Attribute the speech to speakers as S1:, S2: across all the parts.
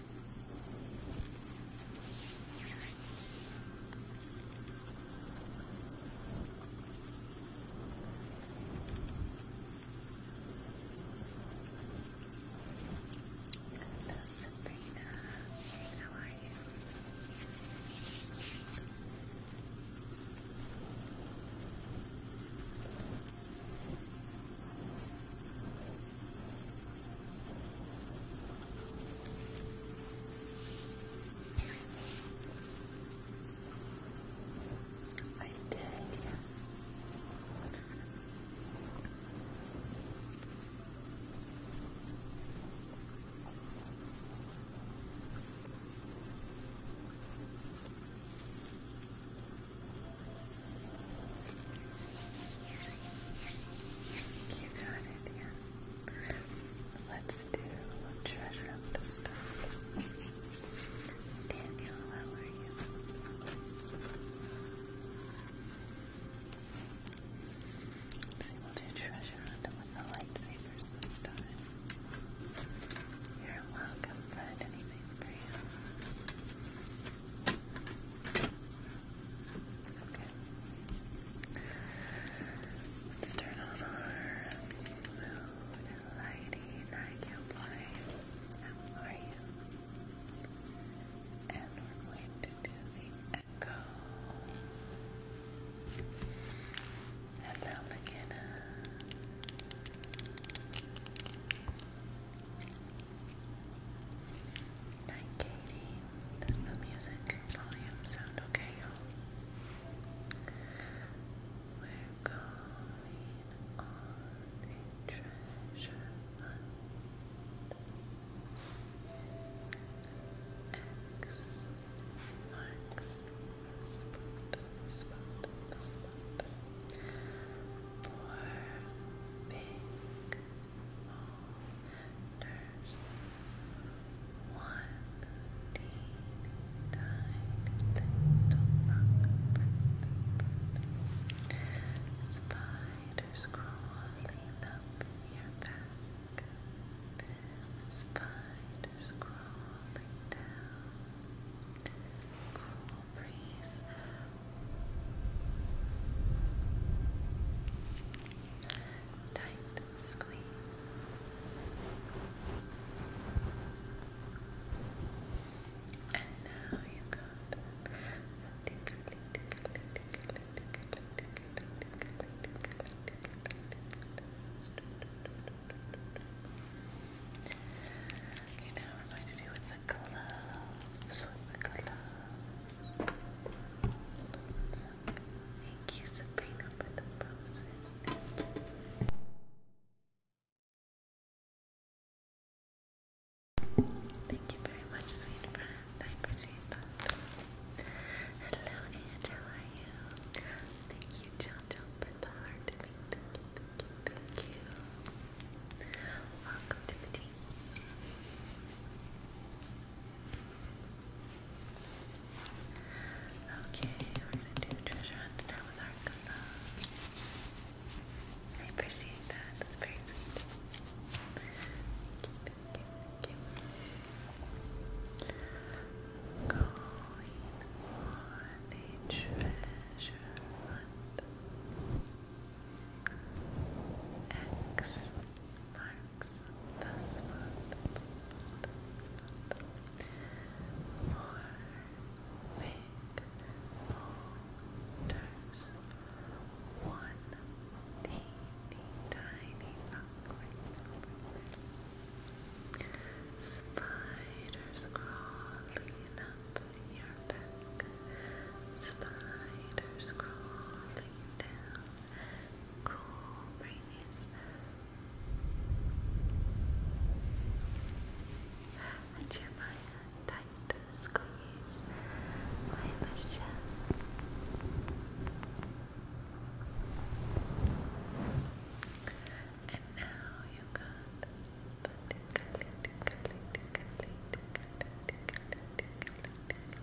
S1: Sabrina, how are you? Hello, I did, yes. You got it, yeah. Let's do treasure of stuff. Daniel, how are you? we'll do treasure under with the lightsabers this time. You're welcome, Fred. Anything for you? Okay. Let's turn on our mood lighting. I can't lie. How are you? And we're going to do the echo. Hello, McKenna. Night, Katie. Does the music volume sound okay, y'all? We're going on a treasure hunt. X marks the spot, the spot, the spot for big there's one teen died that Spiders crawling up your back. Spiders crawling down. Cool Tight squeeze. And now you got a tickly, tickly, tickly, tickly, tickly, tickly, tickly, Okay, now we're going to do with the gloves, with the gloves. Thank you, Sabrina, for the poses. Thank you very much, sweet friend. I appreciate that. Hello, Aunt. How are Thank you, Jojo, for the heart. thank you. Welcome to the Okay, we're gonna do treasure hunt now with our I appreciate that. That's very sweet. Thank you, thank you, thank on treasure hunt. X marks the spot. Four big folders. One teeny tiny rock. Spiders crawling up your back. Spiders crawling blowing cool breeze. Jeremiah tight squeeze my Michelle. And now you got the tickly, tickly, tickly, tickly, tickly, tickly, tickly, tickly,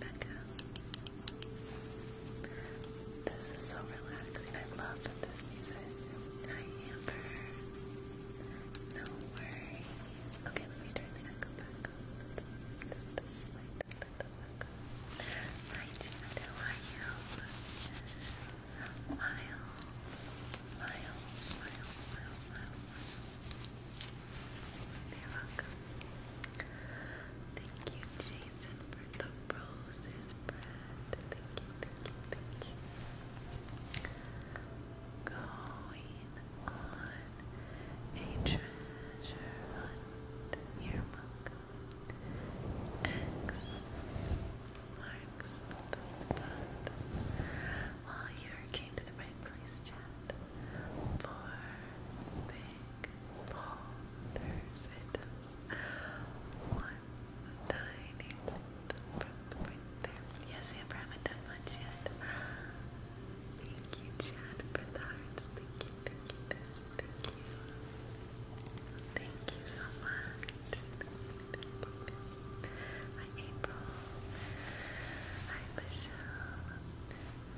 S1: Becca. This is so relaxing. I love this music. Hi, Amber. No worries. Okay, let me turn the echo back on. Just a slight little echo. Hi, Janet. you? You're welcome. Thank you, Jason, for the roses Thank you, thank you, thank you. Going on a treasure hunt. you X marks the spot. Well, you came to the right place, chat. For Yes, Amber, haven't done much yet. Thank you, Chad, for the hearts. Thank you, thank you, thank you. Thank you so much. Thank you, thank you, thank Michelle.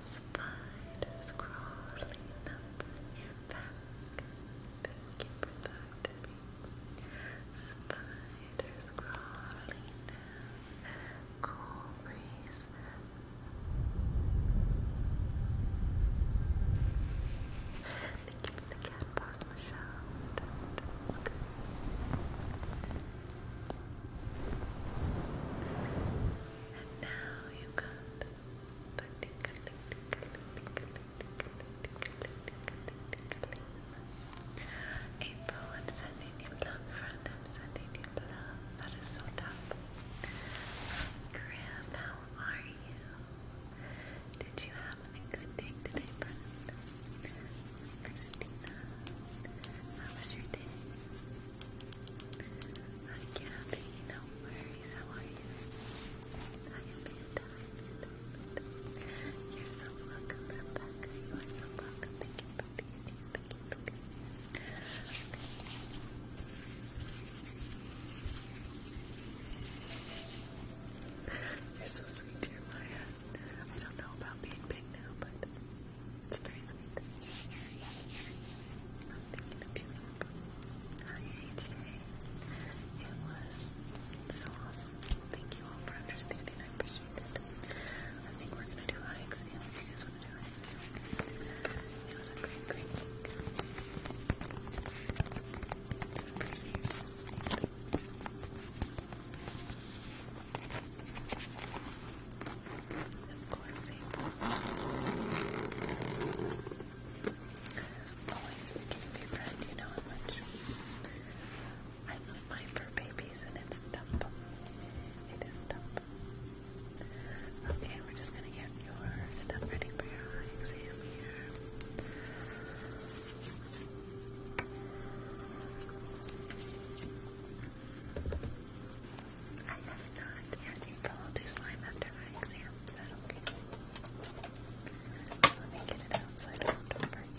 S1: Spiders crawling up your back. Thank you for that, Debbie. Spiders crawling down. Cool breeze. Thank you the cat paws, Michelle. That's good now you got April, I'm sending you love, friend. I'm sending you love. That is so tough. Graham, how are you? Did you have a good day today, friend? Christina, how was your day? Hi, Gabby. No worries. How are you? I am Panda. I am Panda. You're so welcome, Rebecca. You are so welcome. Thank you for being here. Thank you for being here. Okay. You're so sweet, dear Maya. I don't know about being big now, but it's very sweet. I'm thinking of you. It was so awesome. Thank you all for understanding. I appreciate it. I think we're gonna do eye if you guys wanna do eye It was a great, great week. It's of course, April. Always thinking of your friend, you know how much. I love my for babies and it's dumb. It is tough. Okay, we're just gonna get your stuff ready for your exam here. I have not, and April will do slime after my exam. Let me get it out so I don't Yes,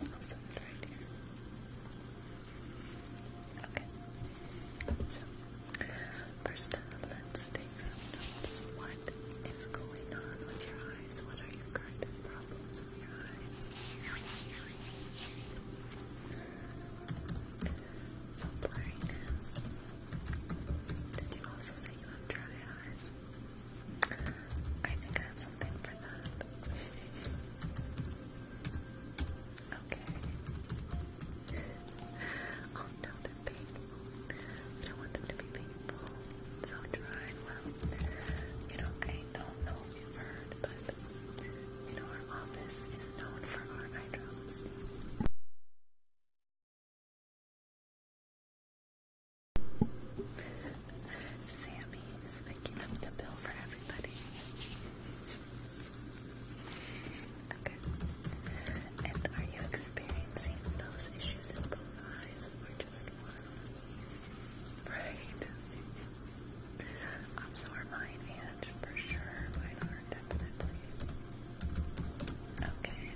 S1: this is my open one. I'll set it right here. Okay. First let's take some notes. What is going on with your eyes? What are your current problems with your eyes? So blurriness. Did you also say you have dry eyes? I think I have something for that. Okay. Oh no, them We don't want them to be painful. So try well. You know, I don't know if you've heard, but you know our office is known for our eye Sammy is picking up the bill for everybody. Okay. And are you experiencing those issues in both eyes or just one? Right. I'm sorry, mine and for sure. Mine are definitely. Okay.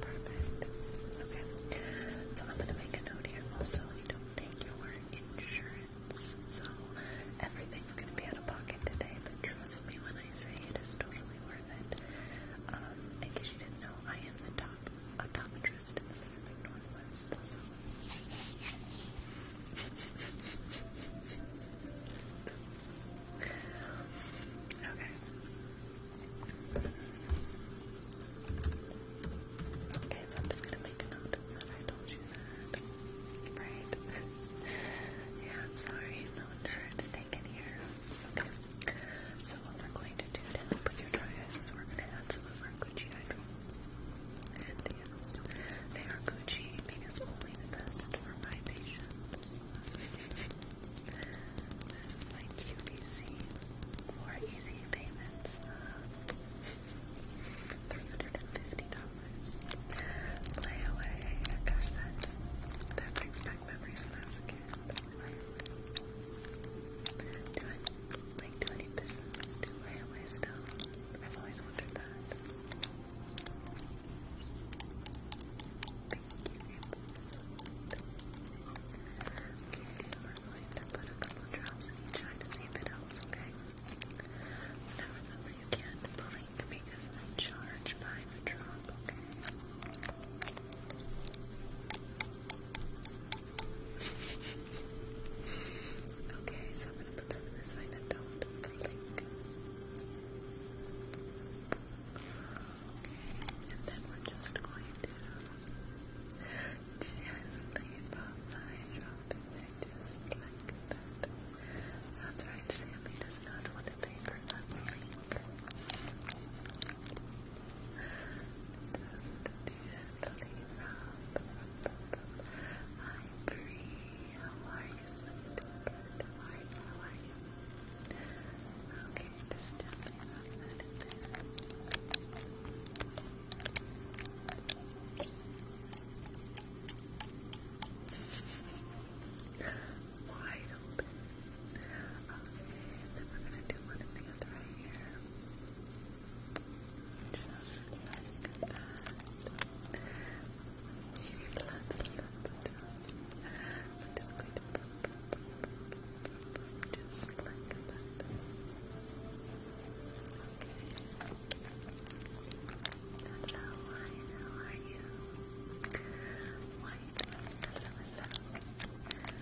S1: Perfect. Okay. So I'm gonna make a note here also. You don't take your insurance. So everything's gonna be out of pocket today, but trust me when I say it is totally worth um, in case you didn't know, I am the top optometrist in the Pacific Northwest, okay. Okay, so I'm just gonna make a note that I told you that. Right? yeah, I'm sorry, no insurance taken here. Okay. So what we're going to do to help with your dry eyes is we're going to add some of our Gucci eye they are Gucci because only the best for my patients. this is my QVC for easy payments $350. Lay away. Gosh, that's, that brings back memories when a kid. Doing like do any businesses do railway stuff? I've always wondered that. Thank you, Okay, we're going to put a couple drops in each to see if it helps, okay? remember you can't blink because I'm by the drop, Okay, so I'm gonna put some in this don't Okay, and then we're just going to gently pop my drop in there just like that. That's right, Sammy does not want to think or not Hi Bree, how are you? How are you? How are you? Okay, just tell me about that in there wide open. Okay, and then we're gonna do one in the other eye here. Just like that. Here, let's I'm just going to just like that. Okay. Hello, how are you? White, hello, hello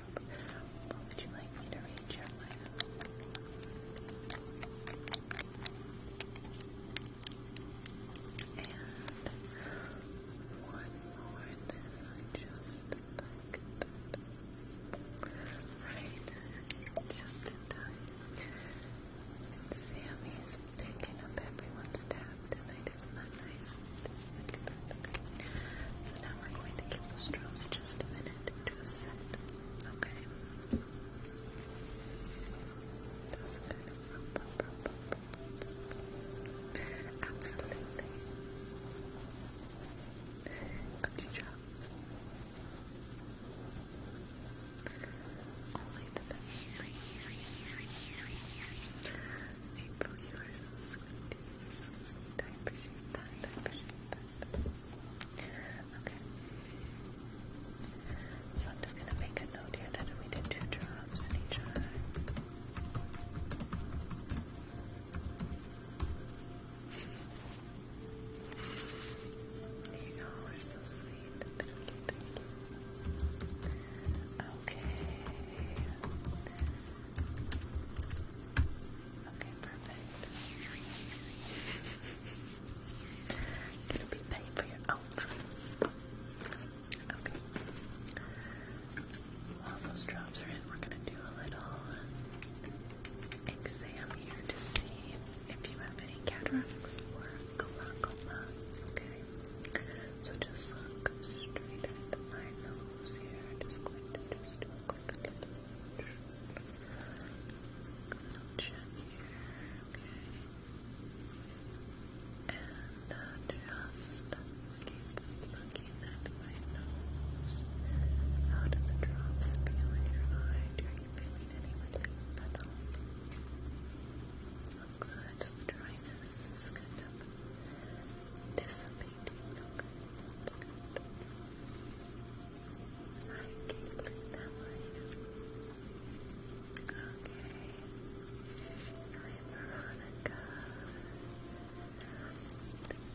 S1: What would you like me to read, Jeremiah? And one more this I just like that. Uh, right. Just in time. Sammy is picking up everyone's tab tonight, isn't nice? So now we're going to kill the strokes just a minute it to set, okay? Just Only the best. April, you are so sweet. I appreciate that. I appreciate that. Okay. So I'm just gonna make a note here that we did two drops in each eye. You all are so sweet. Okay. Okay, perfect. Gonna be paid for your ultra. Okay. While those drops are in, we're gonna do a little exam here to see if you have any cataracts or glaucoma. Okay. So just look straight at my nose here. Just going to just do a quick check And just looking at my nose. How do the drops feel your eye? Do you feeling anything at all? Oh the dryness is kind dissipating. Okay, click Okay. I'm Veronica.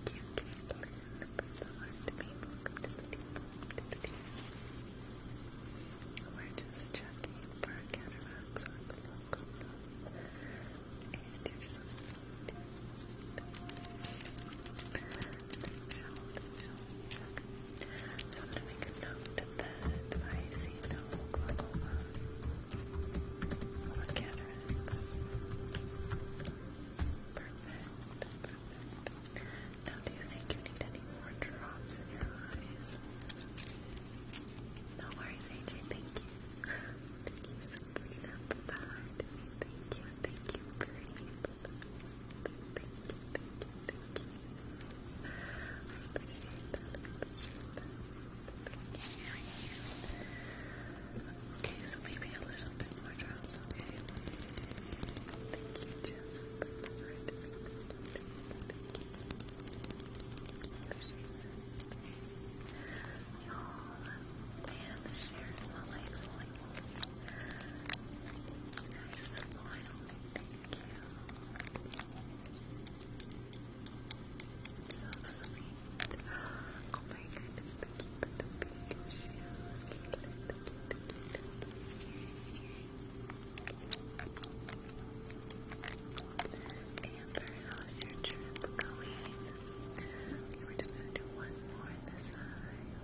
S1: Thank you, Caitlin, for the heart being We're just checking for cataracts on the local. And you're so so I'm gonna make a note that I see no glaucoma or cataracts. Perfect, perfect. Now, do you think you need any more drops in your eyes? No worries, AJ. Thank you. Thank you, Sabrina, for that. Thank you, thank you, Bree. Okay, so maybe a little bit more drops, okay? Thank you, Jess, for it. Appreciate that. Y'all, and my legs Nice smile. Thank you. Oh my goodness, the cute the big shoes. Cute, the cute, the cute, the cute. Amber, how's your trip going? we're just gonna do one more on this eye.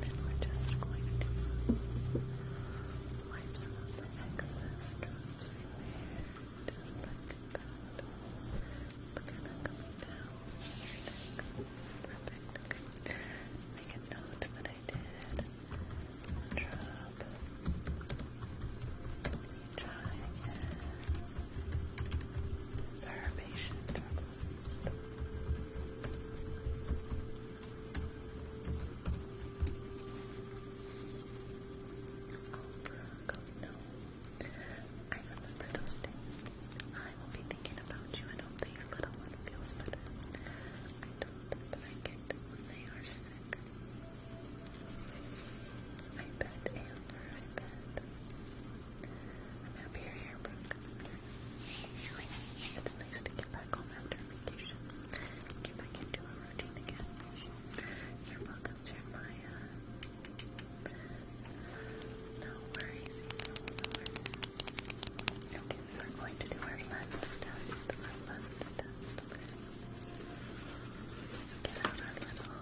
S1: then we're just going to wipe some the excess drops right there. Just like that. Look at that coming down. Perfect. Make a note that I did. Drop time for her patient troubles. Oprah, God, no. I remember those days. I will be thinking about you and hope that your little one feels better. I don't, but I get when they are sick. I bet, Amber, I bet. I'm happy you're here, Brooke. It's nice to get back home after vacation. Get back into a routine again. You're welcome, Jeremiah. No worries, no worries. Okay, we're going to do our lens test. Our lens test. Let's get out our little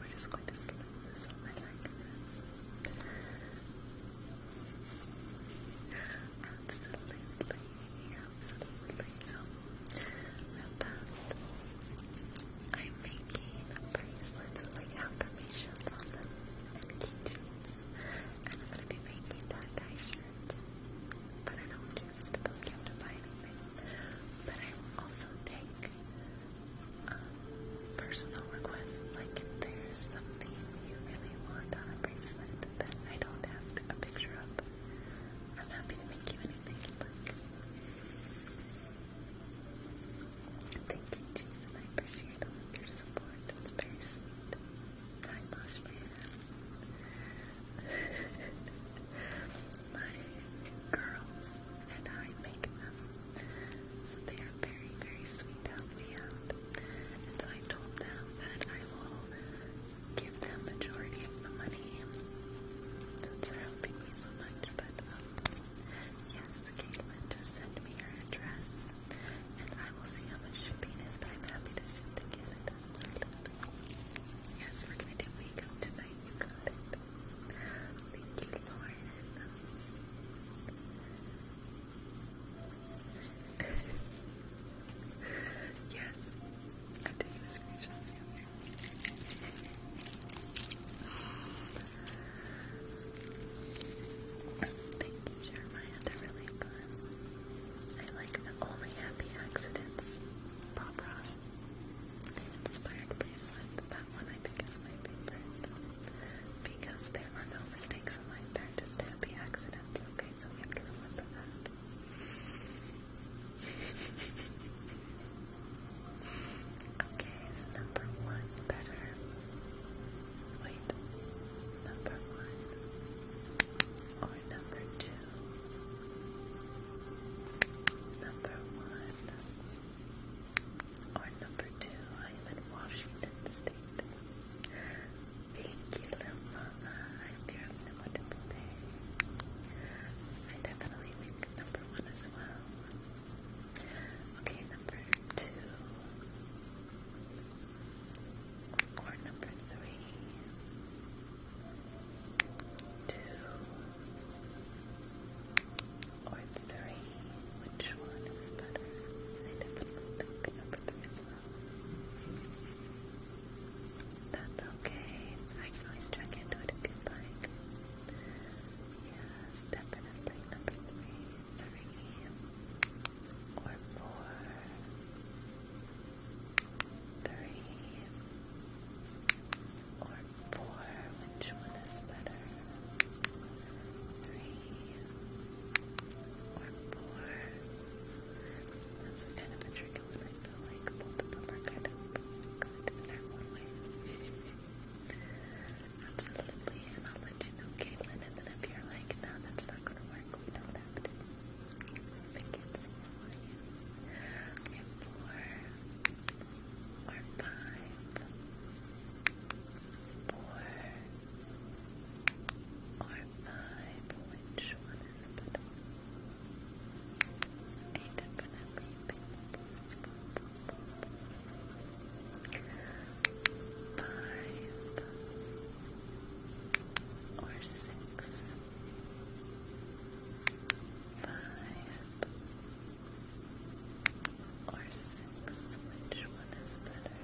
S1: we're just going to slip this over like this. I'm making bracelets with like affirmations on them and I'm going to be making that dye shirts. I don't do this to build you to buy anything. But I'm also taking personal requests, like if there's something you really want on a bracelet that I don't have a picture of, I'm happy to make you anything Thank you, Jesus, I appreciate your support. It's very sweet. I wash girls and I make them. So they are very, very sweet to help me out. And so I told them that I will give them majority of the money since they're helping me so much. But um, yes, Caitlin just sent me her address and I will see how much shipping is, but I'm happy to ship to Yes, we're gonna do makeup tonight. You got it. yes, Thank you, Jeremiah. They're really fun. I like only happy accidents. Bob inspired bracelet. That one I think is my favorite because there are no mistakes in life. they just happy accidents. Okay, so we have to remember that. okay, is number one better? Wait, number one or number two? Number one. Or number two, I am in Washington State. Thank you, little mama. I hope having a wonderful day. I definitely make number one as well. Okay, number two. Or number three. Two or three. Which one is better? I definitely think number three is well. That's okay. I can always check into it if you'd like. Yes, definitely number three. Three or four. Three or four, which one is better? Three or four? That's kind of a tricky one. I feel like both of them are kind of good in their own ways. Absolutely, and I'll let you know, Caitlin. And then if you're like, no, that's not gonna work, we don't have to. Thank you. How are you? I have four or five, four, or five, which one is better? Eight for everything. Five or six, five or six? Which one is better?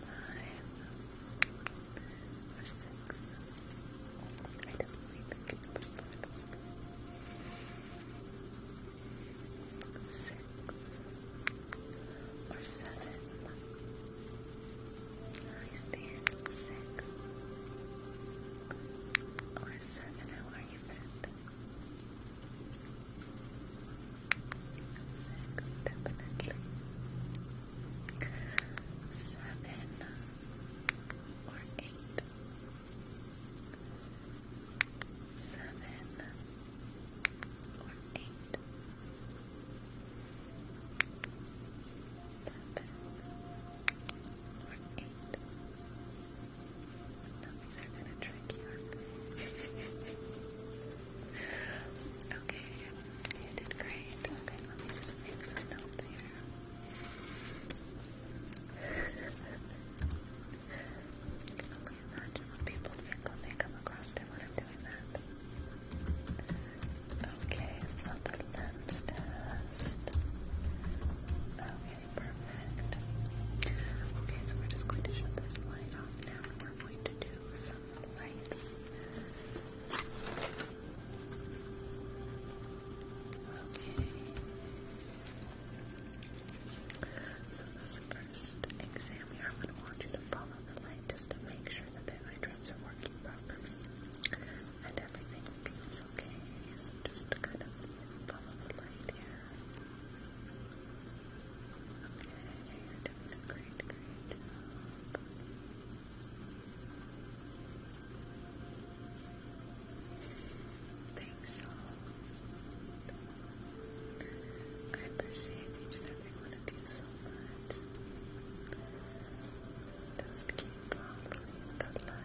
S1: Five or six? I definitely think it's four this one. Six or seven? I stand six. Or or seven, how are you, friend? Six, definitely. Seven or eight. Seven or eight. Seven seven, or eight. No, these are kind of tricky, are okay, you did great. Okay, let me just make some notes here. can only imagine what people think when they come across it when I'm doing that. Okay, so the lens test. Okay, perfect. Okay, so we're just going to shut this light off now. We're going to do some lights. Okay. So this first exam here, I'm going to want you to follow the light just to make sure that the eye drops are working properly and everything feels okay. So just kind of follow the light here. Okay, great, great Thanks, I appreciate each and every one of you so much. Just keep following the light.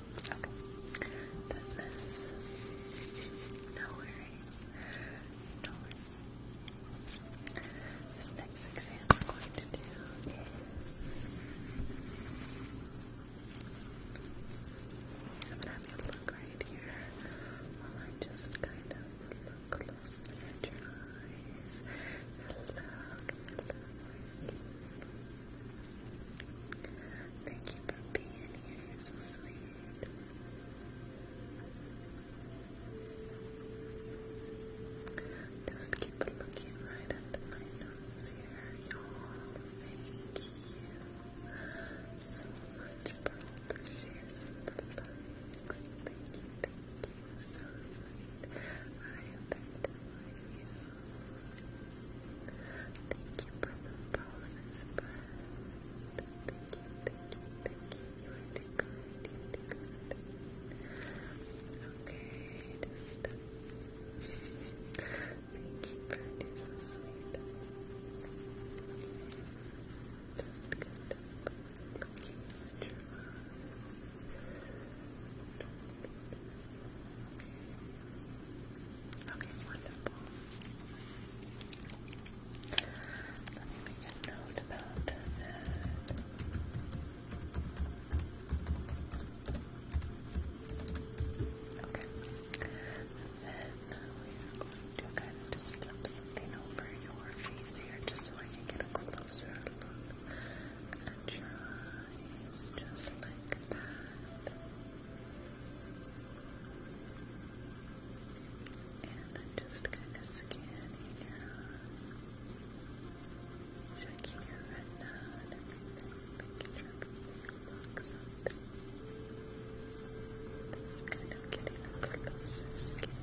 S1: Okay. this. No worries. No worries. This next exam we're going to do is I'm gonna you look right here while I just kind of look closely eyes. Look, Thank you for being here. You're so sweet. Does keep looking right under my nose here, y'all? Thank you so much for all the shares Thank you, So sweet. I am you. Thank you for the process, friend. Thank you, thank you, thank you. You are too good, you are too good. Okay, just thank you, friend. You're so sweet. Just good. Thank you much. Okay, wonderful. Let me make a note about that. Okay. then we are going to slip something over your face here just so I can get a closer look at your eyes. Just like that. And I'm just kind of scanning out, checking your retina and everything, making sure everything looks up. This kind of getting a closer scan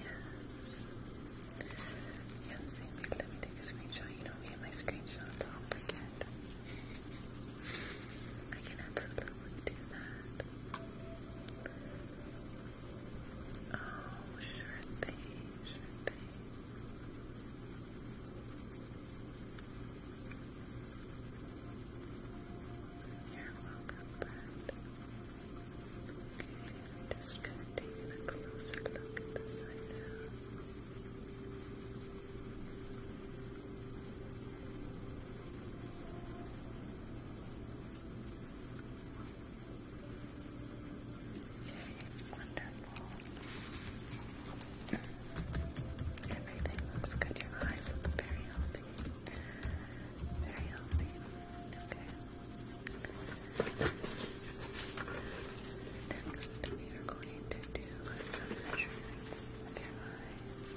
S1: Yes, Yes, Amy, let me take a screenshot. You know me and my screenshots, i can absolutely do that. Oh, sure thing, sure thing. You're welcome, Okay, I'm just gonna take a closer look at the side now. Wonderful. Everything looks good. Your eyes look very healthy. Very healthy. Okay. Next, we are going to do some measurements of your eyes.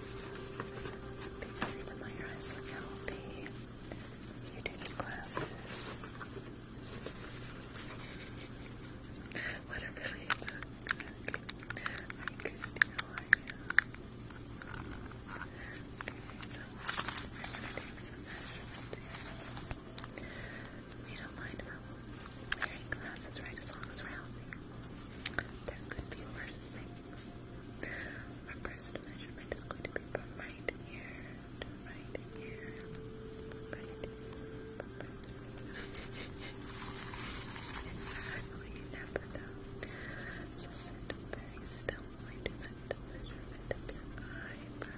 S1: Because even your eyes look healthy, you do need glasses. What a really book. Hi, Christy, Okay, so we we don't mind wearing glasses, right? As long as we're healthy. There could be worse things. Our first measurement is going to be from here to here. Right Exactly, you So sit very still when I do that measurement of your then from right here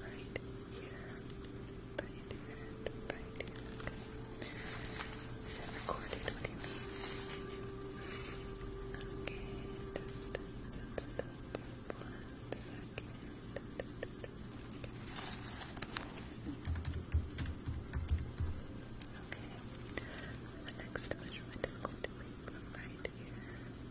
S1: right here, right here right here, it recorded? What you Okay, one second. The next measurement is going to be from right here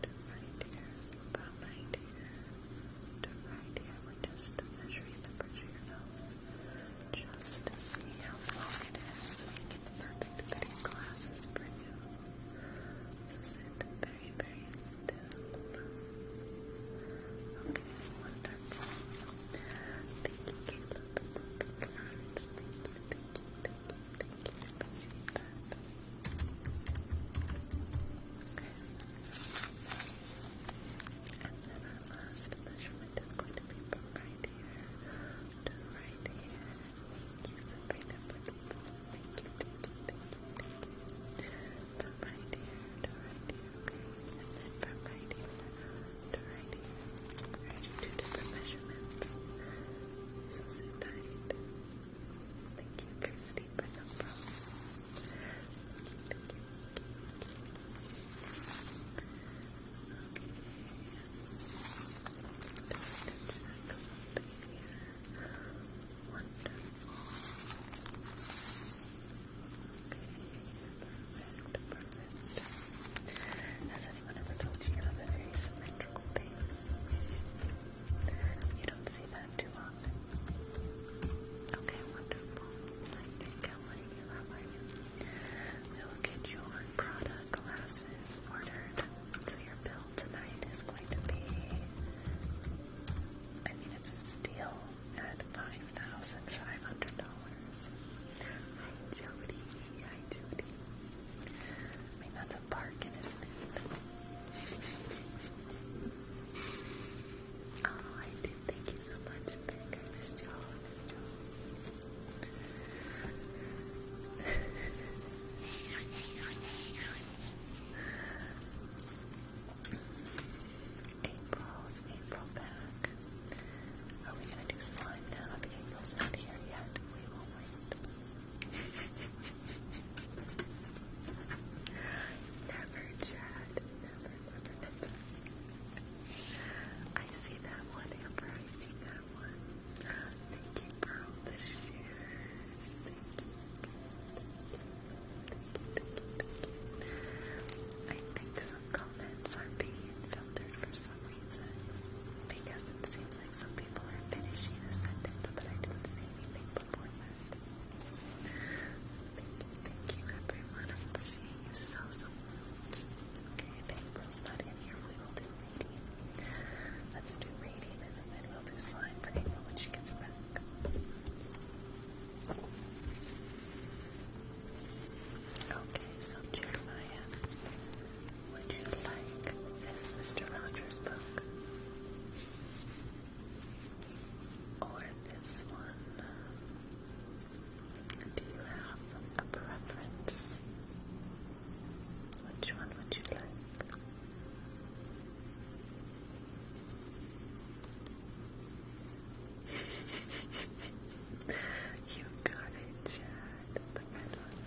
S1: to right here, so right here to right here. we just measuring the bridge of your nose just to see how long it is. So we get the perfect fitting glasses for you. This is it very, very still. Thank you, Caleb. Okay. And then our last measurement is going to be right here right here. thank you from right here to right here, okay? And then from right here to right here. I do two measurements. So sit Thank you, for the phone. Thank you. Okay. Just to check something here. Wonderful. Okay perfect, Has anyone ever told you you have a very symmetrical face? You don't see that too often. Okay, wonderful. I think I want you. How are We will get your Prada glasses ordered. So your bill tonight is going to be. I mean, it's a steal at $5,500. Hi, Jody. Hi, Jody. I mean, that's a bargain, isn't it? oh, I did. Thank you so much, Peg. I April's April back. Are we gonna do slime now? April's not here yet. We will wait. never chat. Never, never, I see that one, Amber. I Thank you, bro. The shares. Thank you. I think some comments are being filtered for some reason because it seems like some people are finishing a sentence, but I didn't see anything before Thank you, everyone. I appreciate you so, so much. Okay, if April's not in here, reading. Let's do reading and then we'll do slime for April when she gets back. Okay, so Jeremiah, would you like this Mr. Rogers book? Or this one? Do you have a preference? Which one would you like? you got it, Chad. The red one.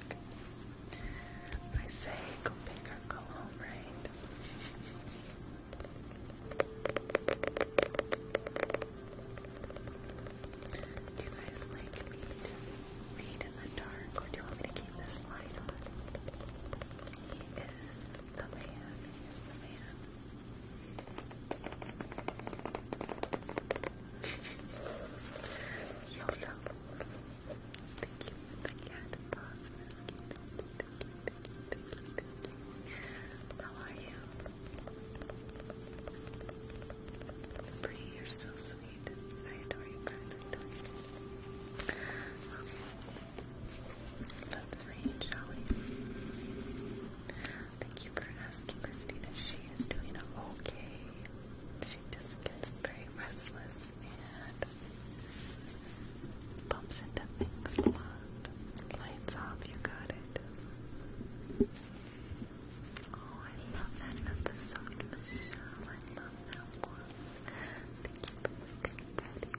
S1: I say go big or go home, right? Do you guys like me to in the dark, or do you want to keep this light on? He is the man. He is the man. YOLO. Thank you for the cat paws, Risky. Thank you, thank you, thank you, thank you, thank you. How you? are so sweet. I adore you, Brad. Let's Thank you for asking, Christina. She is doing okay. She just gets very restless and bumps into things a lot. Lights off, you got it. Oh, I love that episode, Michelle. I love that one. Thank you for looking that.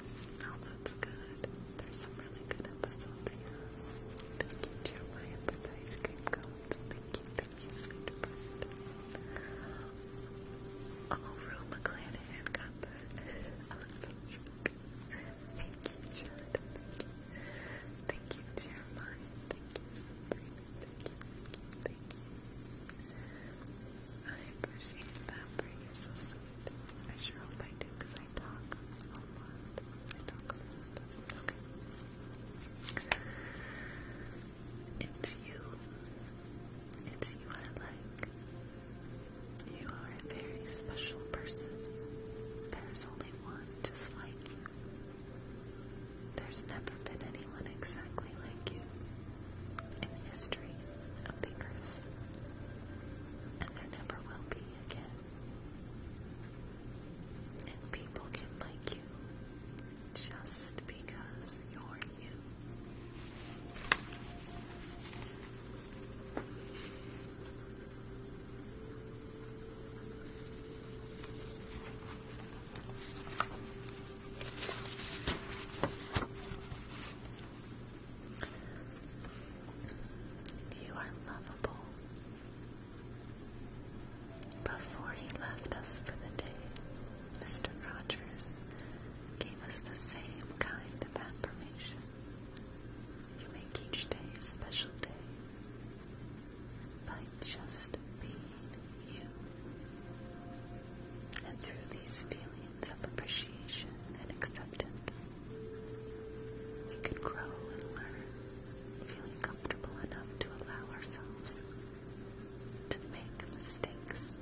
S1: Oh, that's good. There's some really good episodes Thank you, Jeremiah, for the Thank you, thank you, sweetheart. Oh, Rue McClanahan got that. Oh, thank you. Thank you, Jared. Thank you, Thank you, Sabrina. Thank thank you, thank you. I appreciate that for you, so sweet. I sure hope I do, because I It's you. It's you I like. You are a very special person. There's only one just like you. There's never been anyone exactly like you in history of the earth and there never will be again. And people can like you just because you're you. You are lovable. Before he left us for the day, Mr. Rogers gave us the same kind of affirmation. You make each day a special day by just being you. And through these feelings of appreciation and acceptance, we could grow and learn, feeling comfortable enough to allow ourselves to make mistakes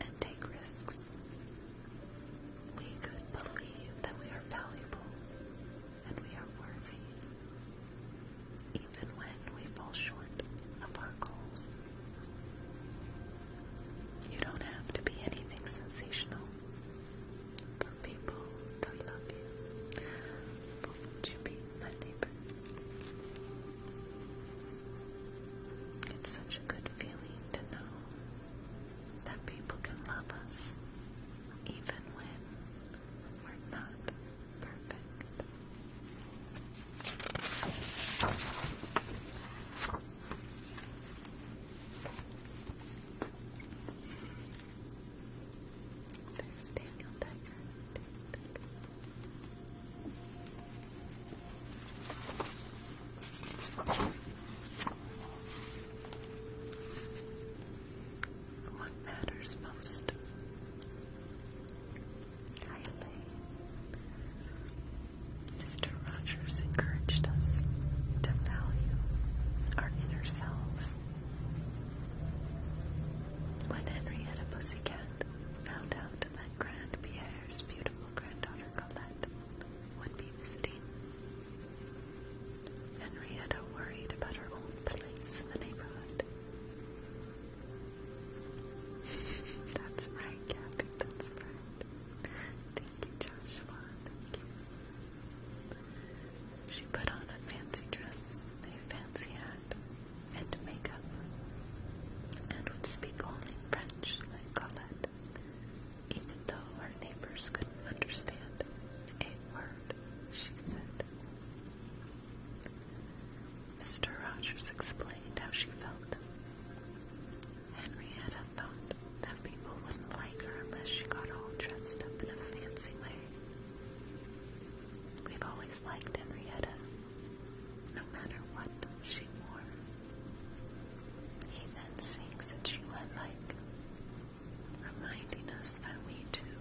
S1: and take risks. We could believe that we are valuable and we are worthy, even when we fall short of our goals. You don't have to be anything sensational for people that love you. Won't you be my It's such a good feeling to know that people can love us even when we're not perfect. There's Daniel Tiger. What matters most? Hi, Mr. Rogers encouraged us to value our inner selves. When Henrietta Pussycat found out that Grand Pierre's beautiful granddaughter Colette would be visiting, Henrietta worried about her own place in the neighborhood. That's right, Gabby, that's right. She put on a fancy dress, a fancy hat, and makeup, and would speak only French like Colette, even though her neighbors couldn't understand a word she said. Mr. Rogers explained how she felt. Henrietta thought that people wouldn't like her unless she got all dressed up in a fancy way. We've always liked Henrietta, no matter what she wore. He then sings that she went like, reminding us that we too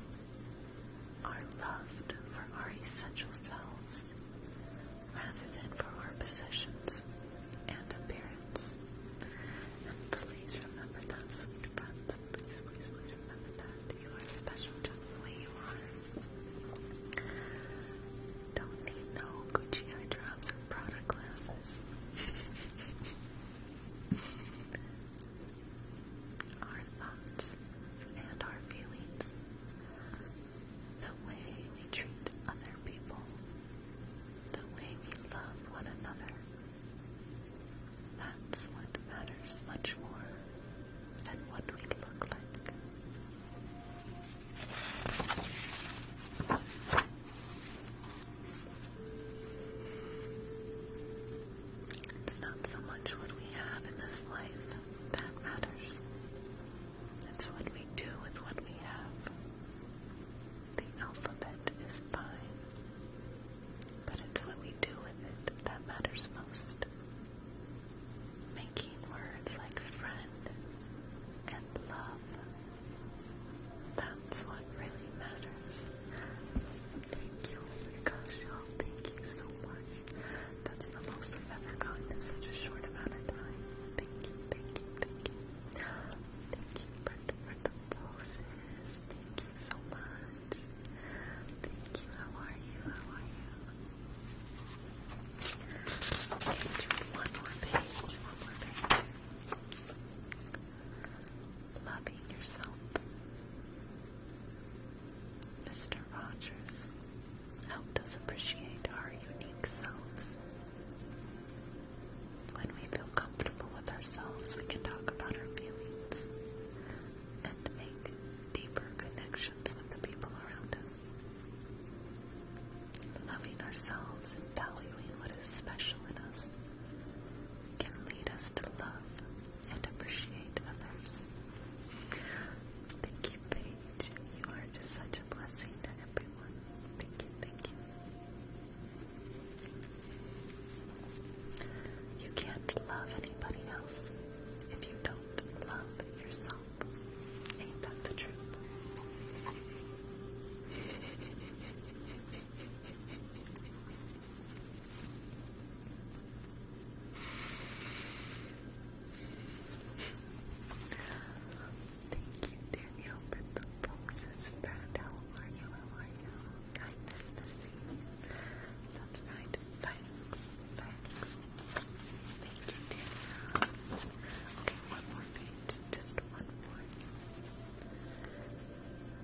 S1: are loved for our essential selves rather than for our possessions and appearance. And please remember that, sweet friends. Please, please, please remember that. You are special just the way you are. Don't need no Gucci eye drops or Prada glasses. our thoughts and our feelings, the way we treat other people the way we love one another. That's what matters much more than what we look like. It's not so much what we have in this life that matters. It's what we do with what we have. The alphabet is fine, but it's what we do with it that matters most. Making words like friend and love, that's what really matters. Thank you, oh my gosh, y'all, thank you so much. That's the most we've ever gotten in such a short amount of time. Thank you, thank you, thank you. Thank you, Bert the poses. Thank you so much. Thank you. How are you? How are you? Okay, do one more page. One more page. Loving yourself. Mr. Rogers helped us appreciate our unique selves. When we feel comfortable with ourselves, we can talk about our feelings and make deeper connections with the people around us. Loving ourselves and valuing what is special in us can lead us to love and appreciate others. Thank you, Paige. You are just such a blessing to everyone. Thank you, thank you. You can't love anybody else if you don't love yourself. Ain't that the truth? Thank you, Danielle, for the roses, friend. How are you? How are you? I miss Missy. That's right. Thanks. Thanks. Thank you, Danielle. Okay, one more page. Just one more.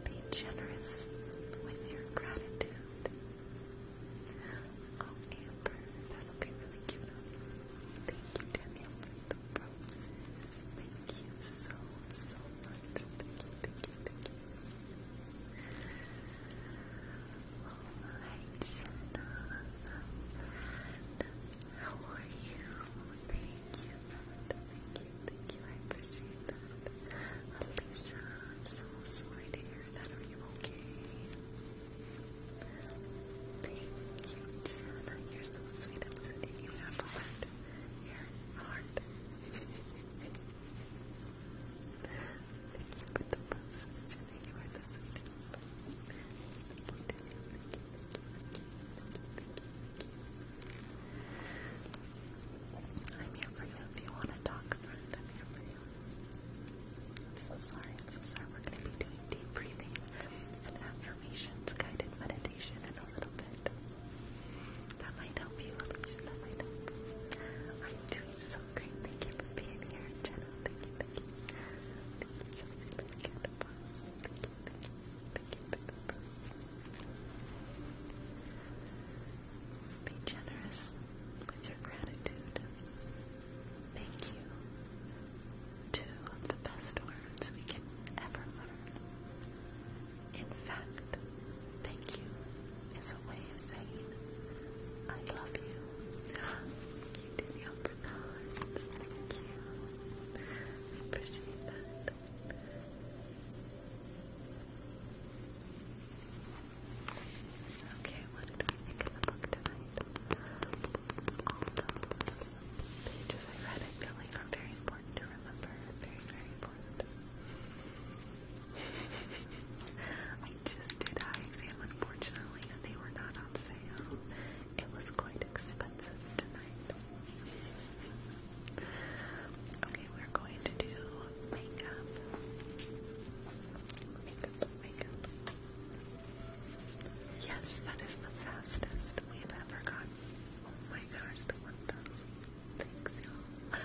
S1: Be generous with your gratitude. Oh, Amber, that'll be Thank you, Danielle, Thank you so, so much. Thank you, thank you, thank you. how are you? Thank you, thank you, thank you. I appreciate Alicia, I'm so sorry to hear that. Are you okay? Thank you, Jenna. You're so sweet. I'm sending you half a here, heart. Thank you for the message. You are the sweetest. I'm here for you if you want to talk, I'm here for you. so sorry. so sorry. We're going to be doing deep breathing, and after guided meditation in a little bit. That might help you, Alicia. That might help. I'm doing so great. Thank you for being here, Jenna. Thank you, thank you. Thank you, Chelsea. Thank you, the boss. Thank you, thank you. Thank you, thank you, Be generous with your gratitude. Thank you. Two of the best words we can ever learn. In fact, thank you is a way of saying I love you. Thank you to Thank you. I appreciate that. Okay, what did we think the book tonight? All those pages I read, I feel like are very important to remember. Very, very important. I just did eye exam, unfortunately, they were not on sale. It was quite expensive tonight. Okay, we're going to do makeup. Makeup, makeup. Yes, that is the fastest we've ever gotten Oh my gosh, the 1000. Thanks, y'all.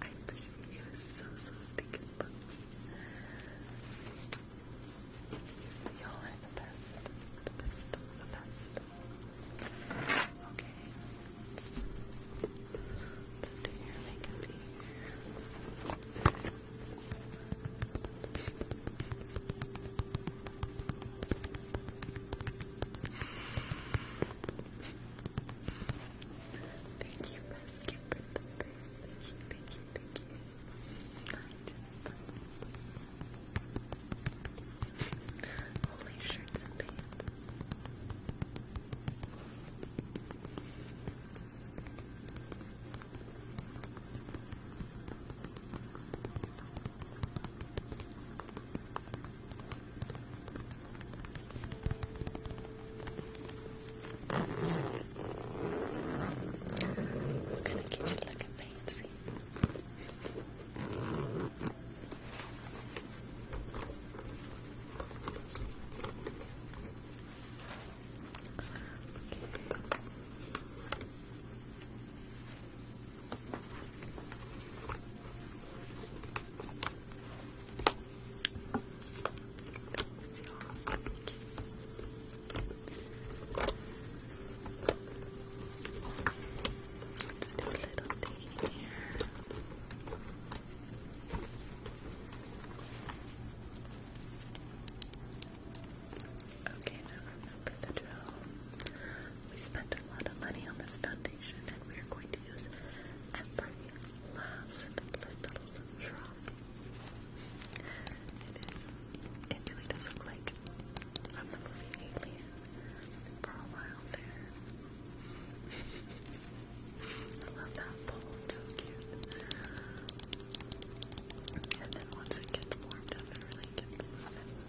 S1: I appreciate you so, so stinking much. Y'all are the best. The best. The best. Okay. Thank you, for the bear. Thank you, thank you, thank you. Holy shirts and pants. Thank I'm gonna get you looking fancy. Okay do a little thing here. Okay, now remember the drill. We spent a lot of money on this foundation and we are going to use every last little drop. it really does look like from the movie Alien for a while there. I love that bowl, it's so cute. And then once it gets warmed up, it really gets moving.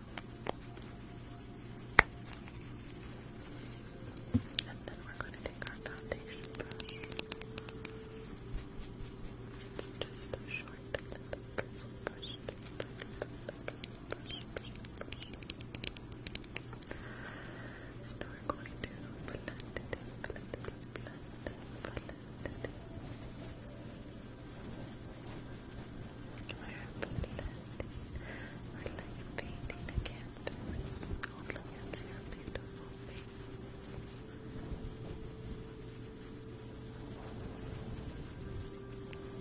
S1: And then we're going to take our foundation just a short little pencil brush. Just a little brush, brush, brush. And we're going to blend it, in, blend it, in, blend it, in, blend it. In. I like painting the canvas. Oh, look at your beautiful face.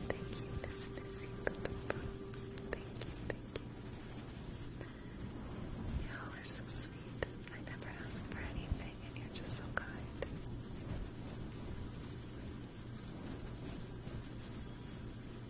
S1: Thank you, Miss Missy, for the props. Thank you, thank you. Y'all are so sweet. I never ask for anything, and you're just so kind.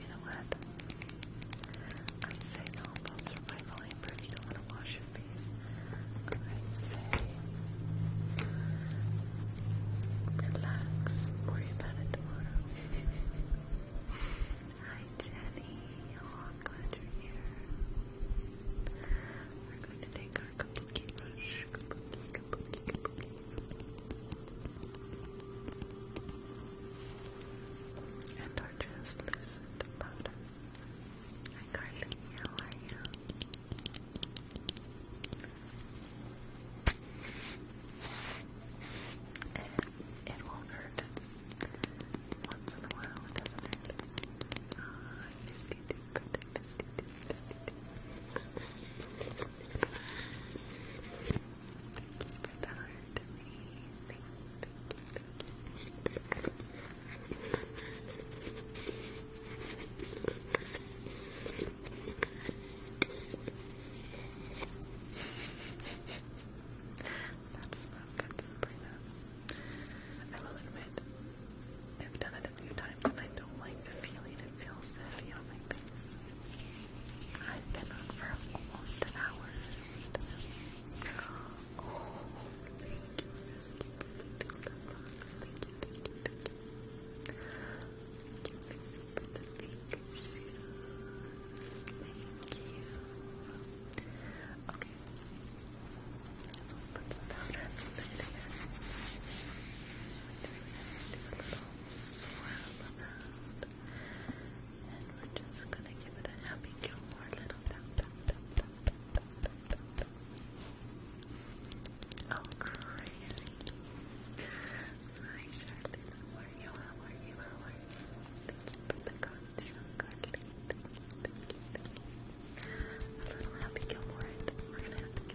S1: You know what? i say all about survival amber if you don't want to wash your face. i say relax, worry about it tomorrow. Hi Jenny, I'm glad you're here. We're going to take our kabuki brush, and our translucent powder. Hi Carly, how are you? It, it won't hurt once in a while, doesn't hurt. Ah, uh, biscuity, biscuity, biscuity. Thank you for the heart to me. That's not good, Sabrina. I will admit, I've done it a few times and I don't like the feeling it feels heavy on my face. I've been on for almost an hour. Oh, thank you. Thank you, thank thank you. Thank you, Okay. So we put the powder in Do a little swirl around. And we're just gonna give it a happy Gilmore little tap tap tap tap tap tap tap tap. Oh crazy. Hi Charlie, how are you? How are you? are you? you for the condition, Carly. Thank A little happy Gilmore and then we're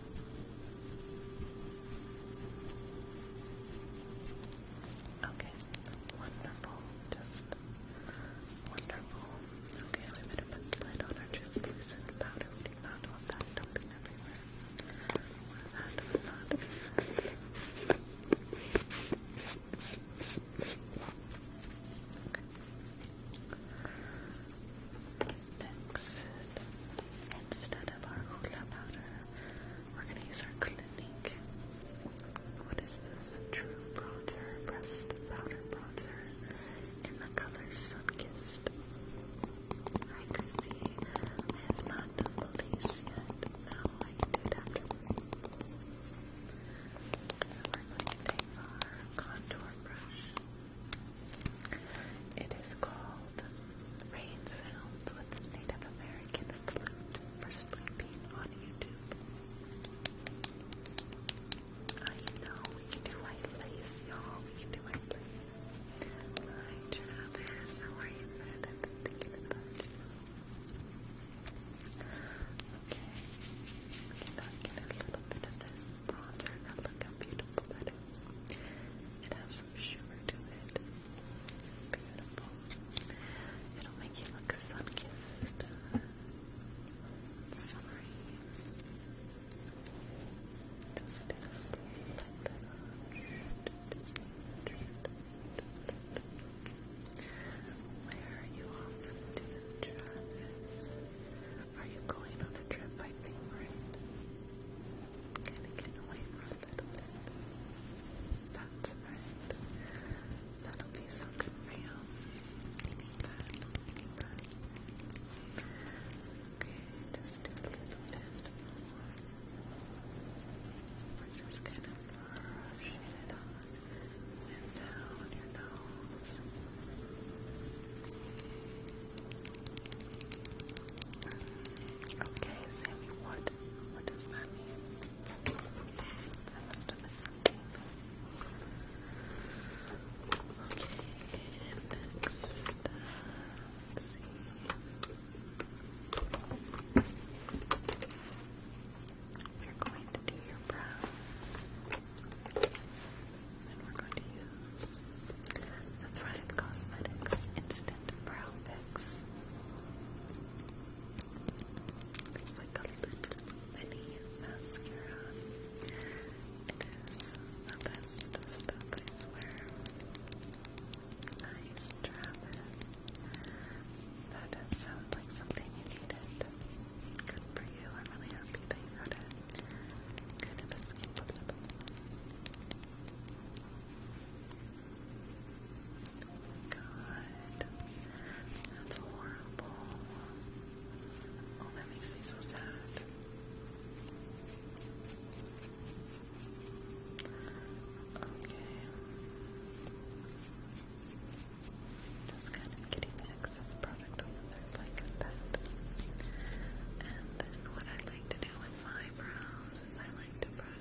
S1: Okay, wonderful, just wonderful. Okay, we better put the lid on our translucent powder. We not want that dumping everywhere. That would Next, instead of our hula powder, we're gonna use our Clinique. What is this? True Bronzer, Breast Powder Bronzer, in the color Sunkissed. Hi Chrissy, I have not done the yet. No, I can do it So we're going to take our contour brush. It is called Rain sounds with Native American flute for sleeping on YouTube. I know we can do white lace, y'all. We can do white lace. Hi, Travis. How are you, man? I've been thinking We can not a little bit of this bronzer. look how beautiful that is. It has some to it. Beautiful. It'll make you look sun-kissed. Summery. Just do a slow Where are you off to, Travis? Are you going on a trip, I think, right? Gotta get away from little That'll be so good you. Okay, just a little bit We're just kind of brushing it on and down your nose. Okay, Sammy, what? What does that mean? I must have Okay, next. We're going to do your brows. And we're going to use the Threaded Cosmetics Instant instant fix. It's like a little mini mascara. It is the stuff, I swear. Nice, Travis. That sounds like something you needed. Good for you. I'm really happy that got it. Kind of escaped God, that's horrible. Oh, that makes me so sad. Okay. Just kind of getting the excess product over there like that. And then what I like to do with my is I like to brush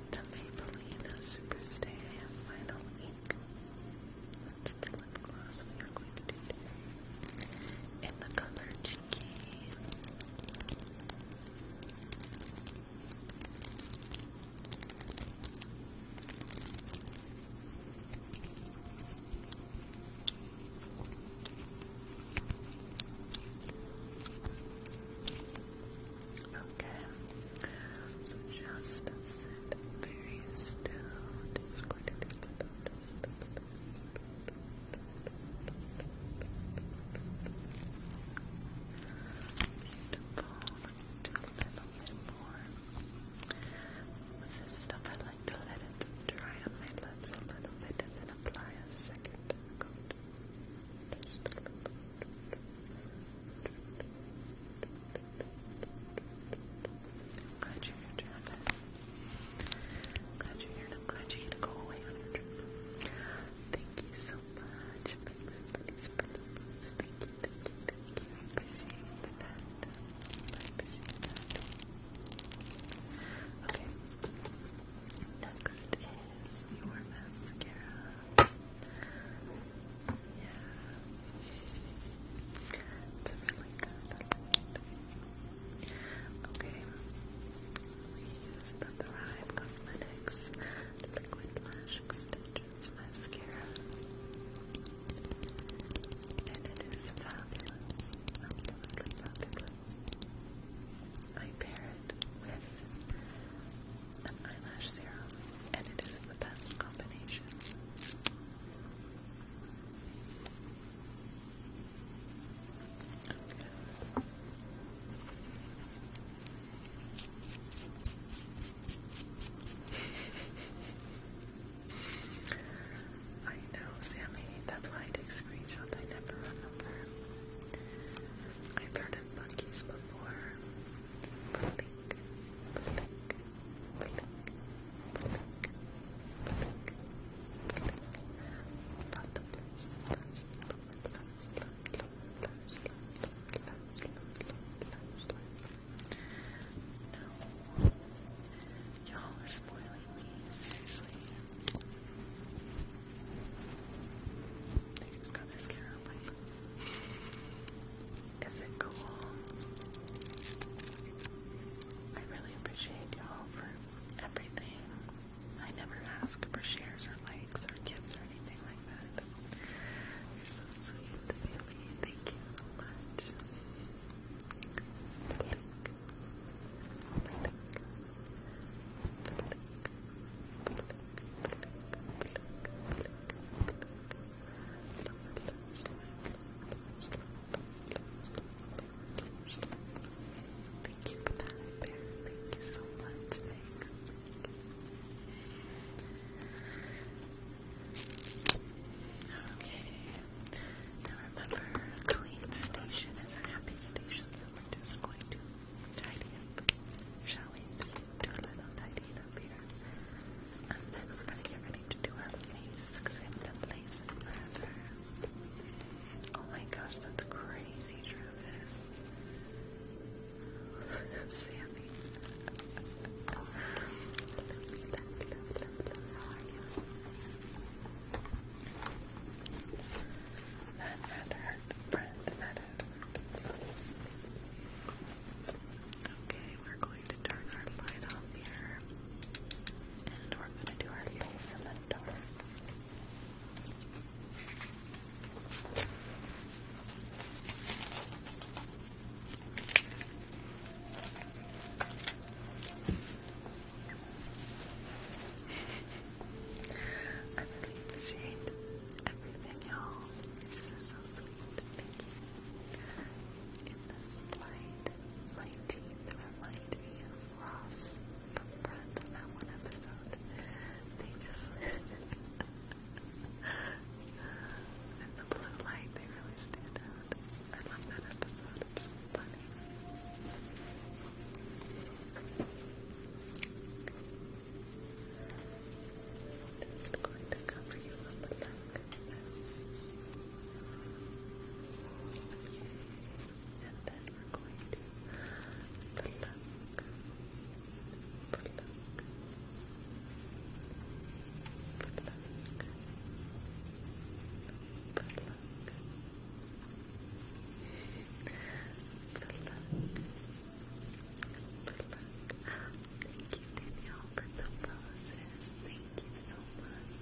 S1: the Maybelline Superstay Vinyl Ink. That's the lip gloss we are going to do In the color Cheeky. Okay. So just sit very still. Just going Beautiful. With this stuff, I like to let it dry on my lips a little bit and apply a second coat. Just a little glad you're here, Travis. i glad you're here, glad you get to go away on your trip. Thank you so much. Thanks for these principles. Thank you, thank you, thank you. I appreciate that. I appreciate that. Okay. Next is your mascara. Yeah. It's really good. Okay. We used the Thrive Cosmetics Liquid Lash Extensions Mascara. And it is fabulous. I pair it with an eyelash serum and it is the best combination. I know, Sammy. That's why I take screenshots. I never remember. I've heard of monkeys before. Floating. No. Y'all are spoiling me, seriously. They just got mascara is it cool? I really appreciate y'all for everything. I never ask for shares or likes or gifts or anything like that. you so sweet, Thank you so much. Thank you for that, Thank you so much, Okay. Now remember, a clean station is a happy station, so we're just going to tidy up, shall we? do a little tidying up here. And then we're going to get ready to do our lace, because we have lace Oh my gosh, that's crazy, Travis. Sammy. How are you? friend. Okay, we're going to turn our light off here. And we're going to do our face in the dark. I really appreciate everything, y'all. you just so sweet. Thank you. In this light, my teeth remind from Friends in that one episode. They just in the blue light, they really stand out. I love that episode. It's funny. Just going to cover you up like And then we're going to pluck, pluck, pluck. Pluck, pluck, pluck, thank you, Danielle, for the roses. Thank you so much.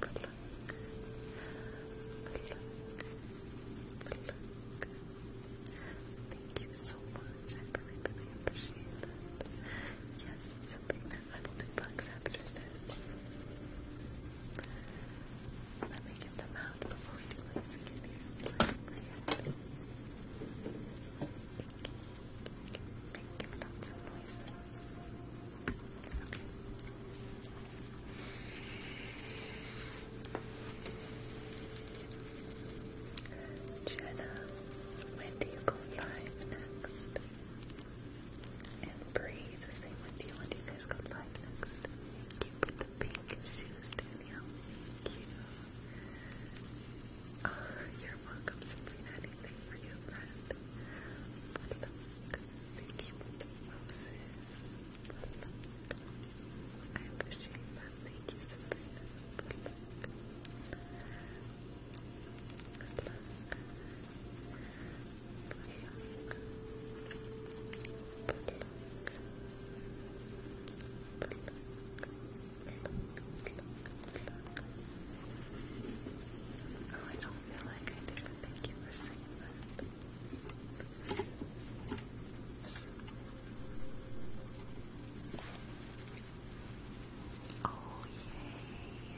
S1: But look, look, look, look. Thank you so much. really, really appreciate that. Yes, something that I will do bugs after this. Let me get them out. Thank you, Jenna, when do you go live next? And Bree, the same with you. When do you guys go live next? you for the pink shoes, Dan. Thank you. you're welcome, Selena. Anything for you, thank you for the roses. I appreciate that. Thank you, Selena. Look. Oh, I don't feel like I did, thank you for saying that. Oh, yay.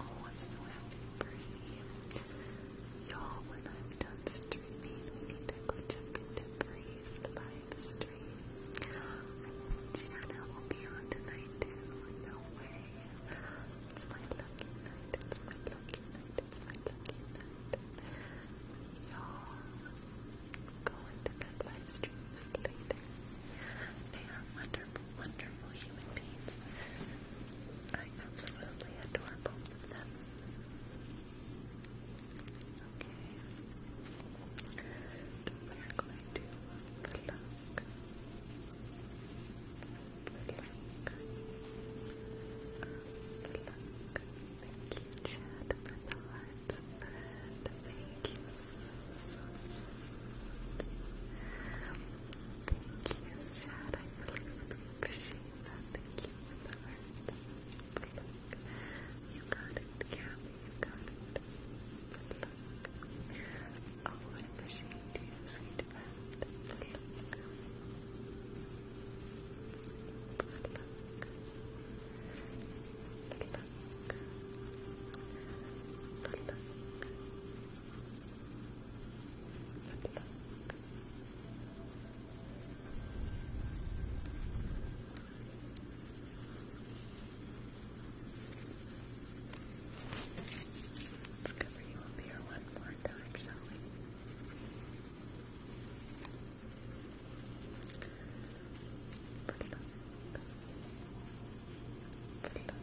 S1: Oh, I'm so happy you. all when I'm done streaming, Tickle Chuck Debris live stream. I think Shanna will be on tonight too. No way. It's my lucky night. It's my lucky night. It's my lucky night. Y'all go into that live They are wonderful, wonderful human beings. I absolutely adore both of them we're going to pluck, pluck, pluck. Thank you, Chad, for the hearts, Thank you Thank you, Chad. I really, appreciate that. Thank you for the hearts. Pluck. You got it, Gabby. You got it. Pluck. Oh, I appreciate you, sweet friend. Pluck. Pluck. Pluck. Pluck. Pluck. Pluck. Let's cover you up here one more time, shall we? Flip, flip, flip. Pluck.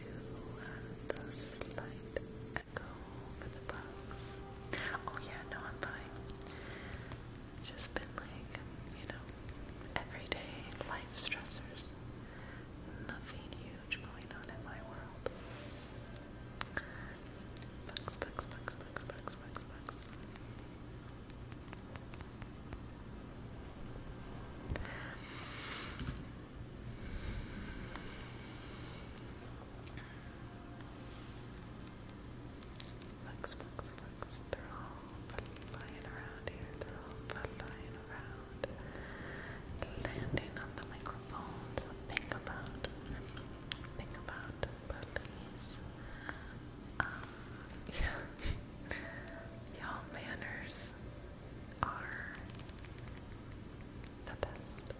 S1: do uh, the slight echo for the box. Oh yeah, no, I'm fine. It's just been like, you know, everyday life stressors. Nothing huge going on in my world. Bugs, bugs, bugs, bugs, bugs, bugs, bugs. Flex, flex, flex. They're all lying around here. They're all lying around. Landing on the microphone. think about, think about, please. Um, Y'all manners are the best.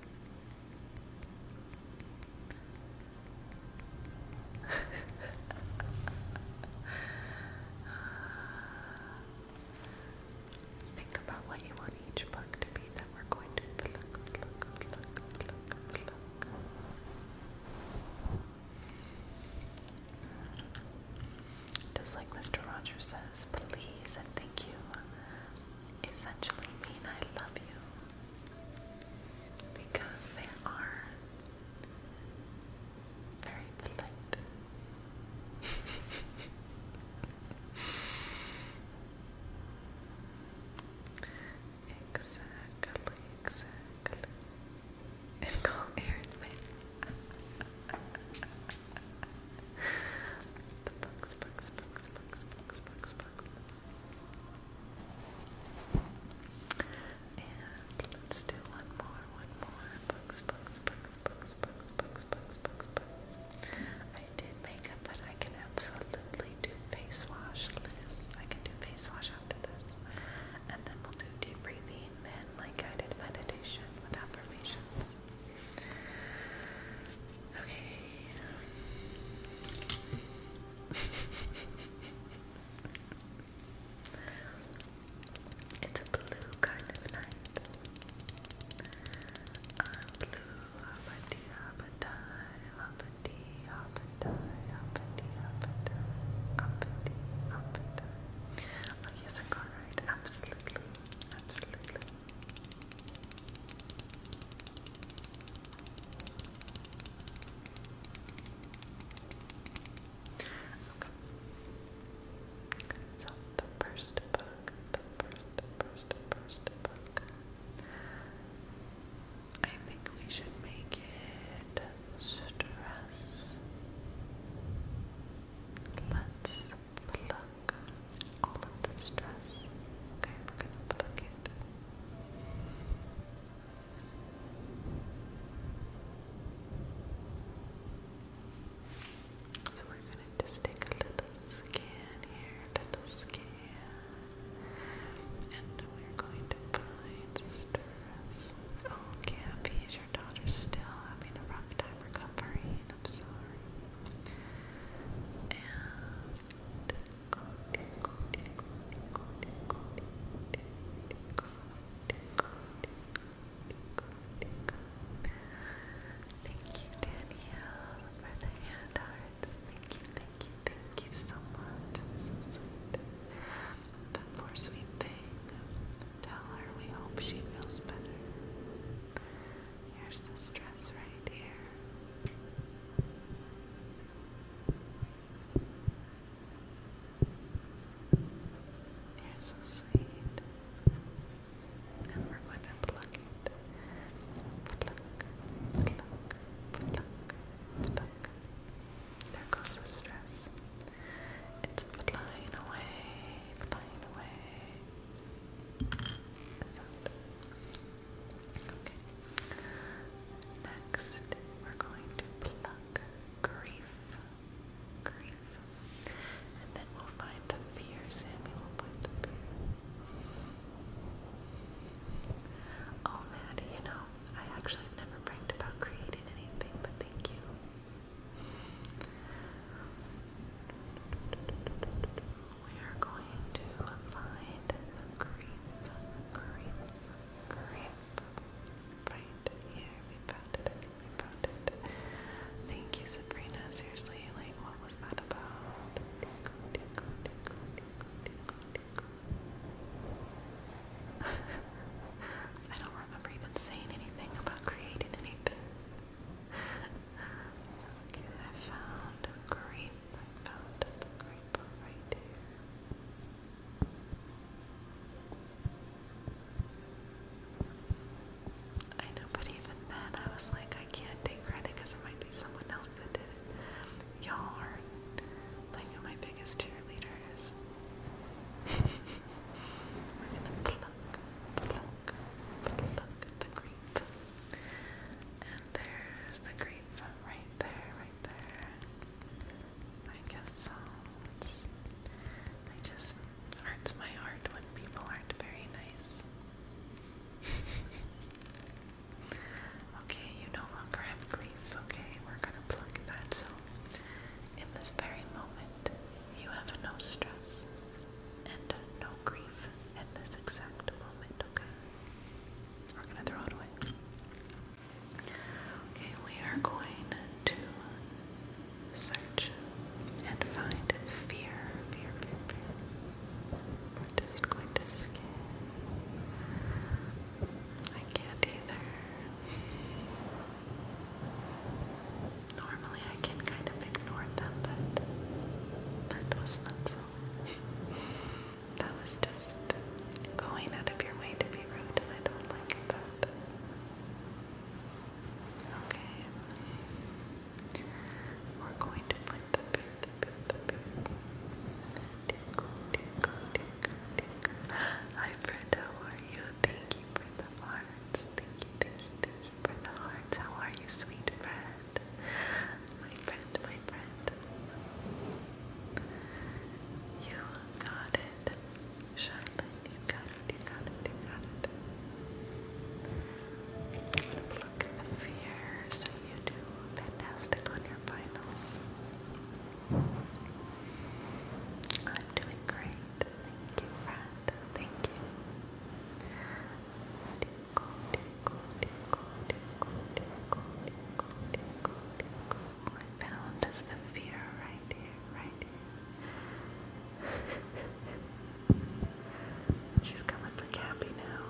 S1: Think about what you want each book to be that we're going to pluck, pluck, pluck, pluck, pluck. Just like Mr. Rogers says, please and thank you essentially mean I love you because they are very polite. exactly, exactly. And call Aaron's name. And let's do one more, one more. Bugs, bugs, bugs, bugs, bugs, bugs, bugs, bugs, I did makeup, but I can absolutely do face wash list. I can do face wash after this. And then we'll do deep breathing and like guided meditation with affirmations. Okay. it's a blue kind of night. A blue hoppity hoppatie, hoppity hoppatie, hoppity hoppatie, hoppity hoppatie. Oh yes, I am going right, absolutely. Absolutely. Okay. So the first the first, first, first book. I think we should make it stress. Let's pluck all of the stress. Okay, we So we're gonna just take a little scan here, little scan, and we're going to find stress. Oh, is your daughter still having a rough time recovering? I'm sorry. Thank you, Danielle, for the hand hearts. Thank you, thank you, thank you so much. The poor sweet thing. Tell her we hope she feels better. Here's the stress right here. Here's the seed. And we're going to pluck it. Pluck, pluck, pluck, pluck. There goes the stress. It's flying away, flying away. Next, we're going to pluck grief. Grief. And then we'll find the fear, Sammy Oh Maddie, you know, I actually never bragged about creating anything, but thank you. We are going to find the crease, crease, crease. Right here, we found it. We found it. Thank you, Sabrina. Seriously, like, what was that about? I don't remember even saying anything about creating anything okay, I found a grape. I found a grape right here. I know, but even then I was like, I can't take credit it might be someone else that did it. Y'all are like my biggest cheerleaders. We're gonna pluck, pluck, pluck the grape grape. And there's the grape right there, right there. I guess so. I just hurts my heart when people aren't very nice. okay, you no longer have grief, okay? We're gonna plug that. So, in this very moment, you have no stress and no grief at this exact moment, okay? We're gonna search and find fear, We're just going to scan. I can't either normally I can kind of ignore them, but that was not so. that was just going out of your way to be rude, and I don't like that. Okay. We're going to put the beer, Hi, Brenda, how are you? Thank you for the hearts. Thank you, thank you, thank you for the hearts. How are you, sweet friend? My friend, my friend. You got it. you got it, you got it, you got it. I'm the fear so you do fantastic on your finals. I'm doing great. Thank you, friend. Thank you. I found the fear right here, right here. She's coming for Cappy now.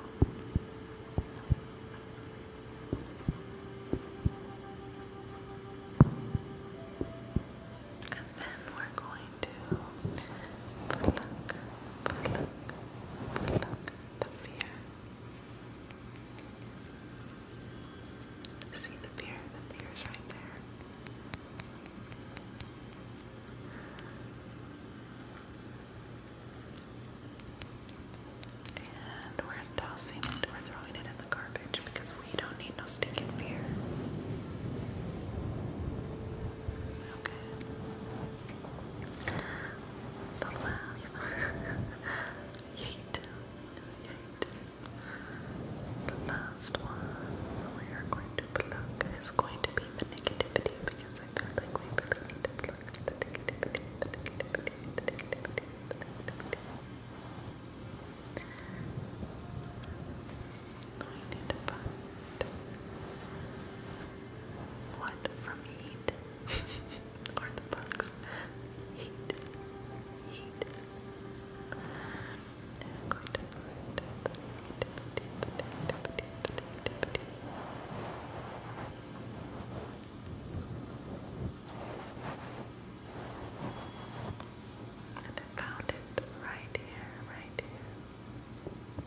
S1: And then we're going to the fear. See the fear? The fear is right there. And we're tossing it, we're throwing it in the garbage because we don't need no stinking fear okay? The laugh. Yeet. Yeet. The last one we are going to pluck is going to be the negativity because I feel like we really need to pluck the negativity, the negativity, the negativity, the negativity. I need what from heat or the bugs. Heat, heat. and I found it right here, right here. Just going to pluck,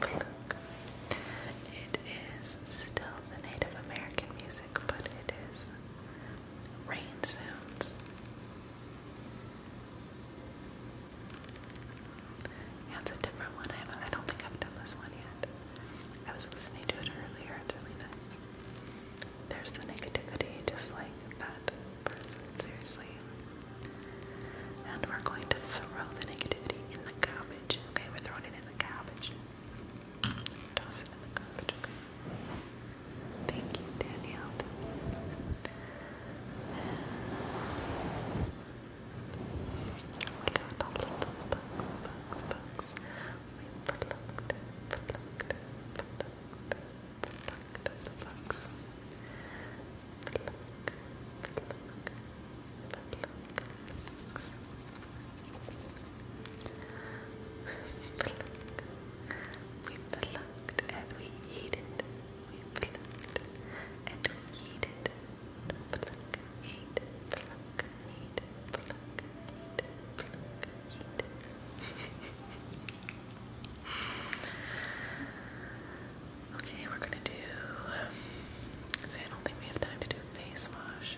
S1: pluck, It is still the Native American music but it is rain sounds. Yeah, a different one. I, don't think I've done this one yet. I was listening to it earlier. It's really nice. There's the negativity, just like that person, seriously. And we're going to throw the negativity in the garbage. Okay, we're throwing it in the garbage. Thank you, Danielle plucked, we plucked and we eat it. We plucked and we eat it. Pluck, eat, pluck, eat, pluck, eat, pluck, eat. okay, we're gonna do. I don't think we have time to do face wash,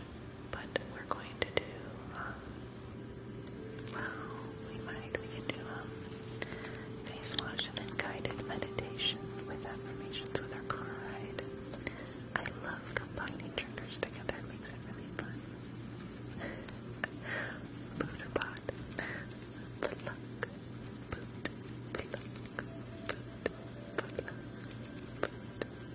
S1: but we're going to do um, well, we might. We can do um, face wash and then guided meditation with affirmations with our car I love combining triggers together. It makes it really fun. Booter pot. Footlock. Boot. Footlock. Boot. Footlock. Boot.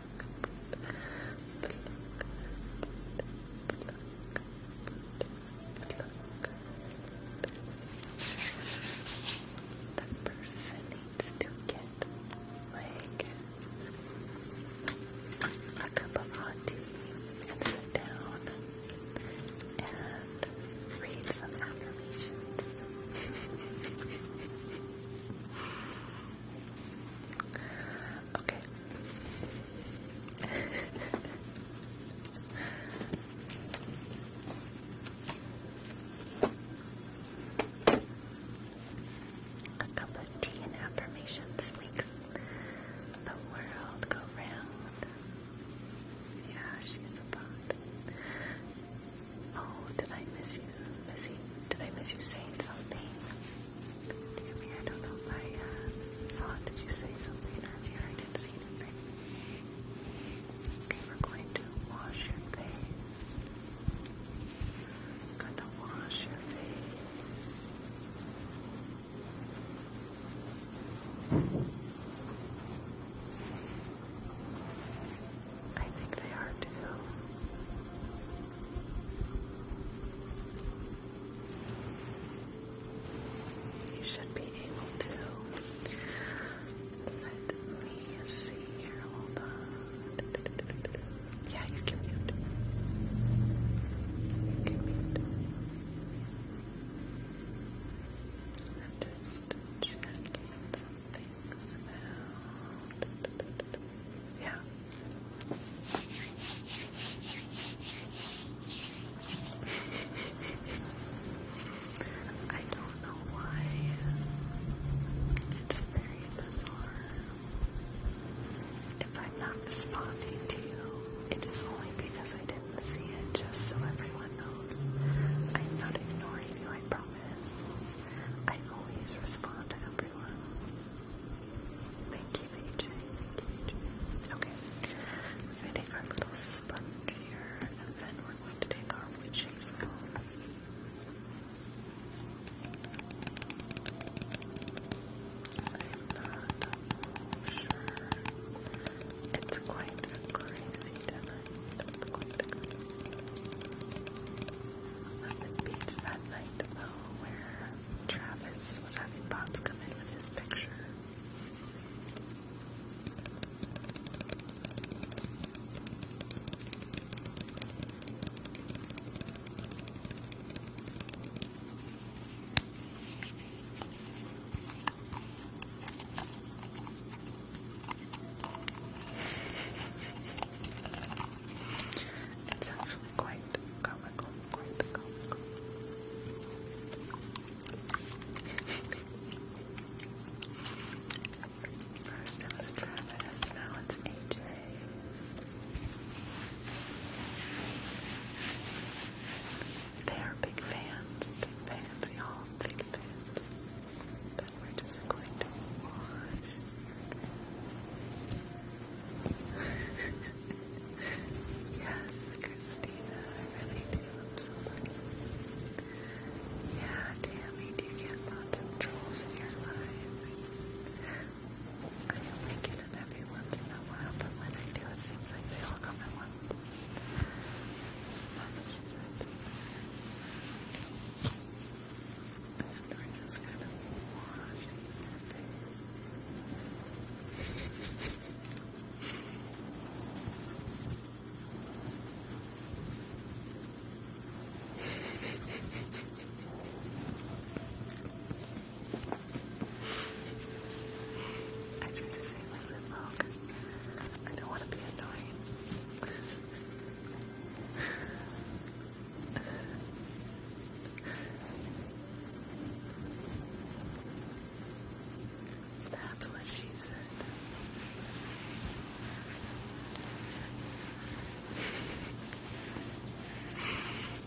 S1: That person needs to get like a cup of hot tea and sit down and read some affirmations. Okay. A cup of tea and affirmations makes the world go round. Yeah, she's a bot. Oh, did I miss you, Missy? Did I miss you saying something? Tammy, I don't know if I uh, saw it. Did you say something earlier? I didn't see anything. Okay, we're going to wash your face. I'm going to wash your face. I think they are too. You should be able to. Let see here. Hold Yeah, you can mute. You can mute. I'm just checking some things Yeah. I don't know why. It's very bizarre. If I'm not responding to you, it is only because I didn't see it, just so everyone knows. I'm not ignoring you, I promise. I always respond to everyone. Thank Okay, we're going to take our little sponge here, and then we're going to take our wood shape It's quite crazy tonight. It's quite a beats that night though where Travis was having Bots come in with this picture. It's actually quite comical, quite comical. First it was Travis, now it's AJ. They are big fans, big fans, y'all, big fans. Then we're just going to wash. yes, Christina, I really do. i Tammy, do you get lots of trolls in your lives? I only get them every once in a while, but when I do, it seems like they all come at once. That's just kind of watching. I try to say my lip out because I don't want to be annoying. That's what she said.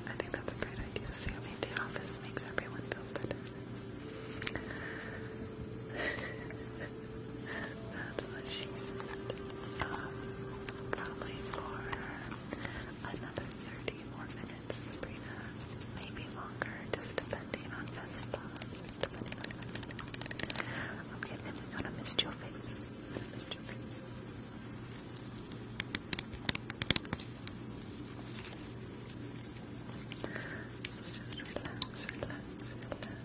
S1: I think that's a great idea. Sammy the office makes everyone feel better. that's what she said. Um, probably for another 30 more minutes minutes, Sabrina. Maybe longer, just depending on Vespa. Just depending on Vespa. Okay, then we gotta mist your face. Mist your face. So just relax, relax, relax.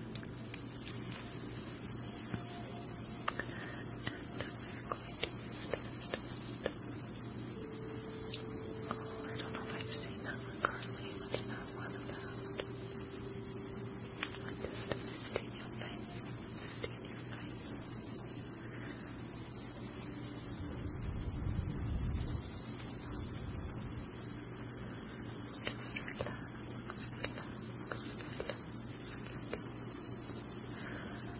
S1: Oh, I don't know if I've seen that one, Carly. What's that one about? Just to stay in your face. Stay in your face. Just relax, relax, relax, relax.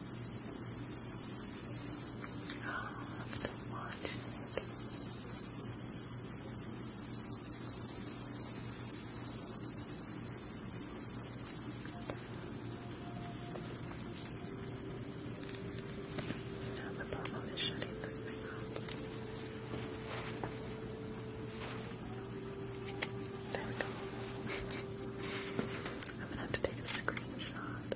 S1: After watching it, now the problem is shutting this thing off. There we go. I'm gonna have to take a screenshot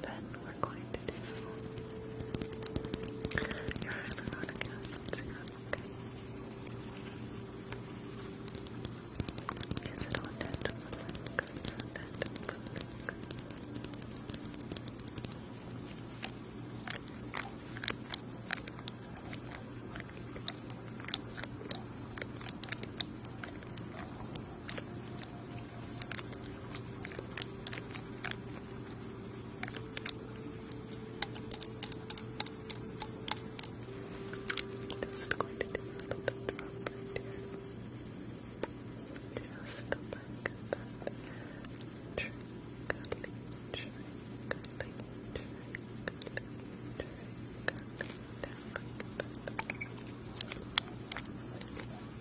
S1: then we're going to do your hyaluronic acid serum, Is it on dental just going to do a little drop right here. Just like that. Trick, cuddly, trick, cuddly, trick, cuddly, trick, cuddly, down like that.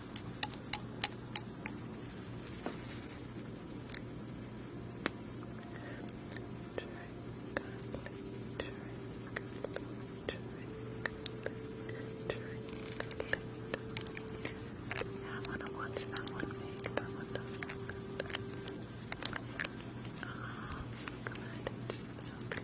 S1: Yeah, I want to watch that one make. That one does look good. Oh, I'm so glad it's so good.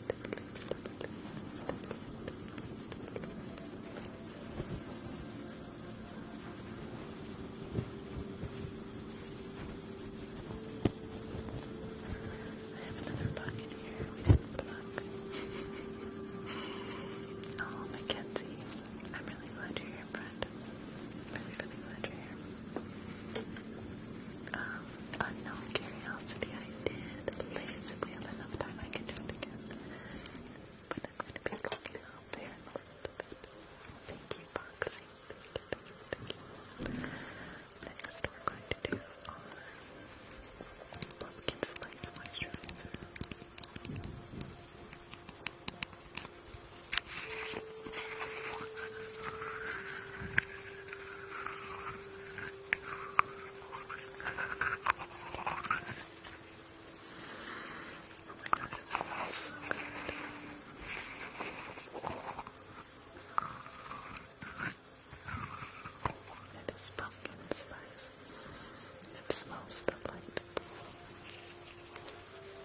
S1: I have another bug here oh, Mackenzie, I'm really glad you're here, friend. I'm glad you're here. Um, Unknown Curiosity, I did. Lace, if we have enough time, I can do it again. But I'm going to be looking out there in a little bit. Thank you, Boxing. Next, we're going to do pumpkin spice moisturizer. Oh my gosh, it so good. It is pumpkin spice. It smells delightful.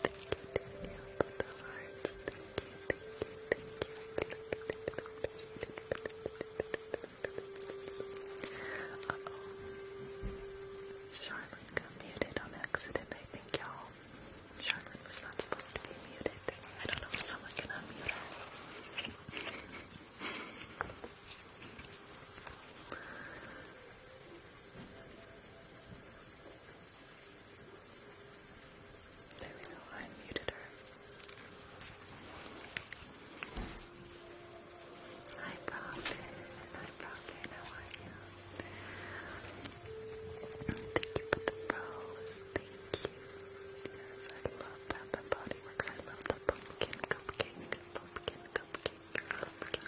S1: Thank you, Daniel, for the hearts. Uh oh. Charlotte got muted on accident, I think, y'all. Charlotte was not supposed to be muted. I don't know if someone can unmute her. There we go, I muted her. Hi, Prophet. Hi, Prophet. How are you? Thank you for the rose. Thank you. Yes, I love that. The body works. I love the pumpkin cupcake. Pumpkin cupcake. Pumpkin cupcake.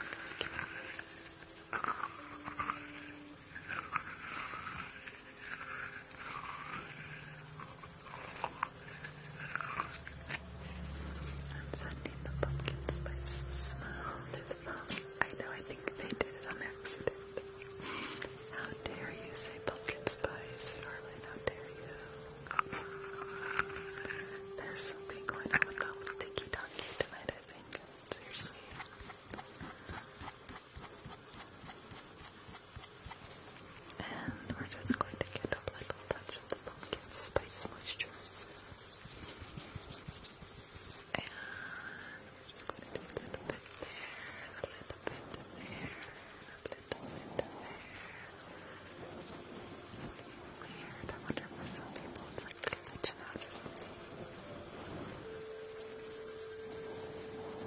S1: I'm sending the pumpkin spice smell through the phone. I know, I think they did it on accident. How dare you say pumpkin spice, Charlotte? How dare you? There's something going on with that little tonight, I think. Seriously. And we're just going to get a little touch of the pumpkin spice moisturizer. And we're just going to do a little bit there, a little bit there, a little bit there. Weird. I wonder if some it's like glitching out or something.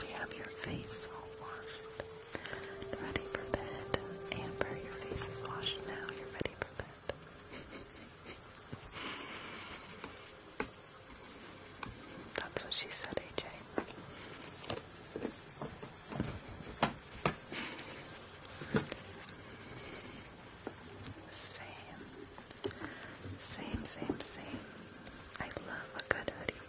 S1: We have your face all washed, ready for bed. Amber, your face is washed now. You're ready for bed. That's what she said, AJ. Same. Same, same, same. I love a good hoodie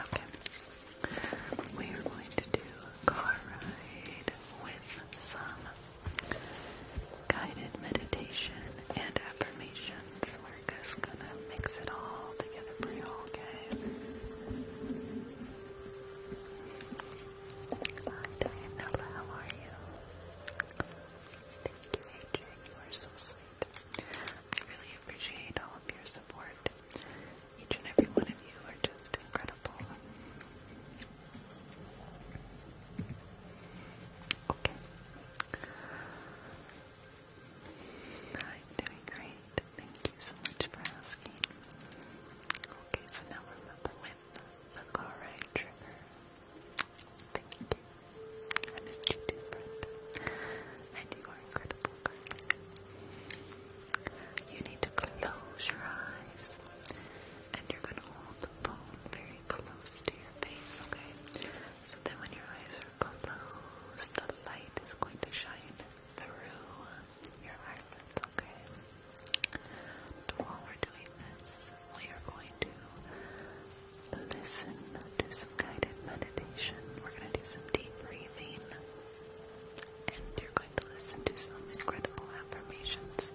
S1: Okay. We are going to do a car ride with some guided meditation and affirmations. We're just gonna mix it all together for you, okay? Hi Dianella, how are you? Thank you, Adrian. You are so sweet. I really appreciate all of your support. Each and every one of you are just incredible. Okay. I'm doing great. Thank you so much for asking. Okay, so now we're about to win the chloride trigger. Thank you. I missed you too, Brenda. And you incredible You need to close your eyes and you're going to hold the phone very close to your face, okay? So then when your eyes are closed, the light is going to shine through your eyelids, okay? while we're doing this, we are going to listen to guided meditation. We're going to do some deep breathing. And you're going to listen to some incredible affirmations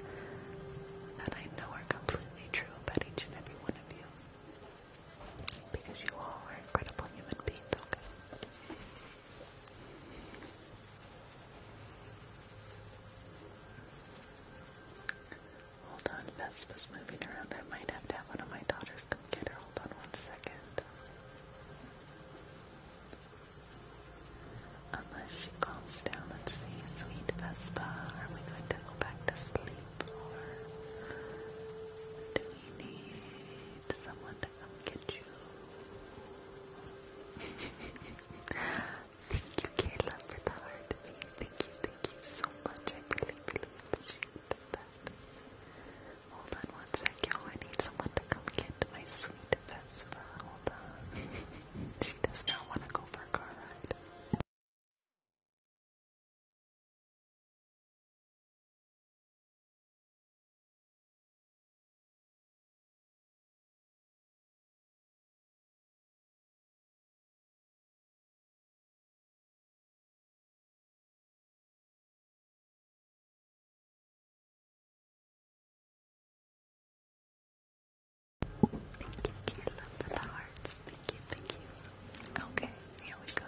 S1: that I know are completely true about each and every one of you. Because you all are incredible human beings, Hold on, Vespa's moving around. I might have to have one of my daughters get her. Hold on one second. Unless she calms down, let's Sweet Vespa, are we going to go back to sleep or do we need someone to come get you? thank you, Kayla, for the heart Thank you, thank you so much. I really, really appreciate that. Hold on one I need someone to come get my sweet Vespa. Hold on. she does not want to go for a car ride. Thank you, Key. Love for hearts. Thank you, thank you. Okay, here we go.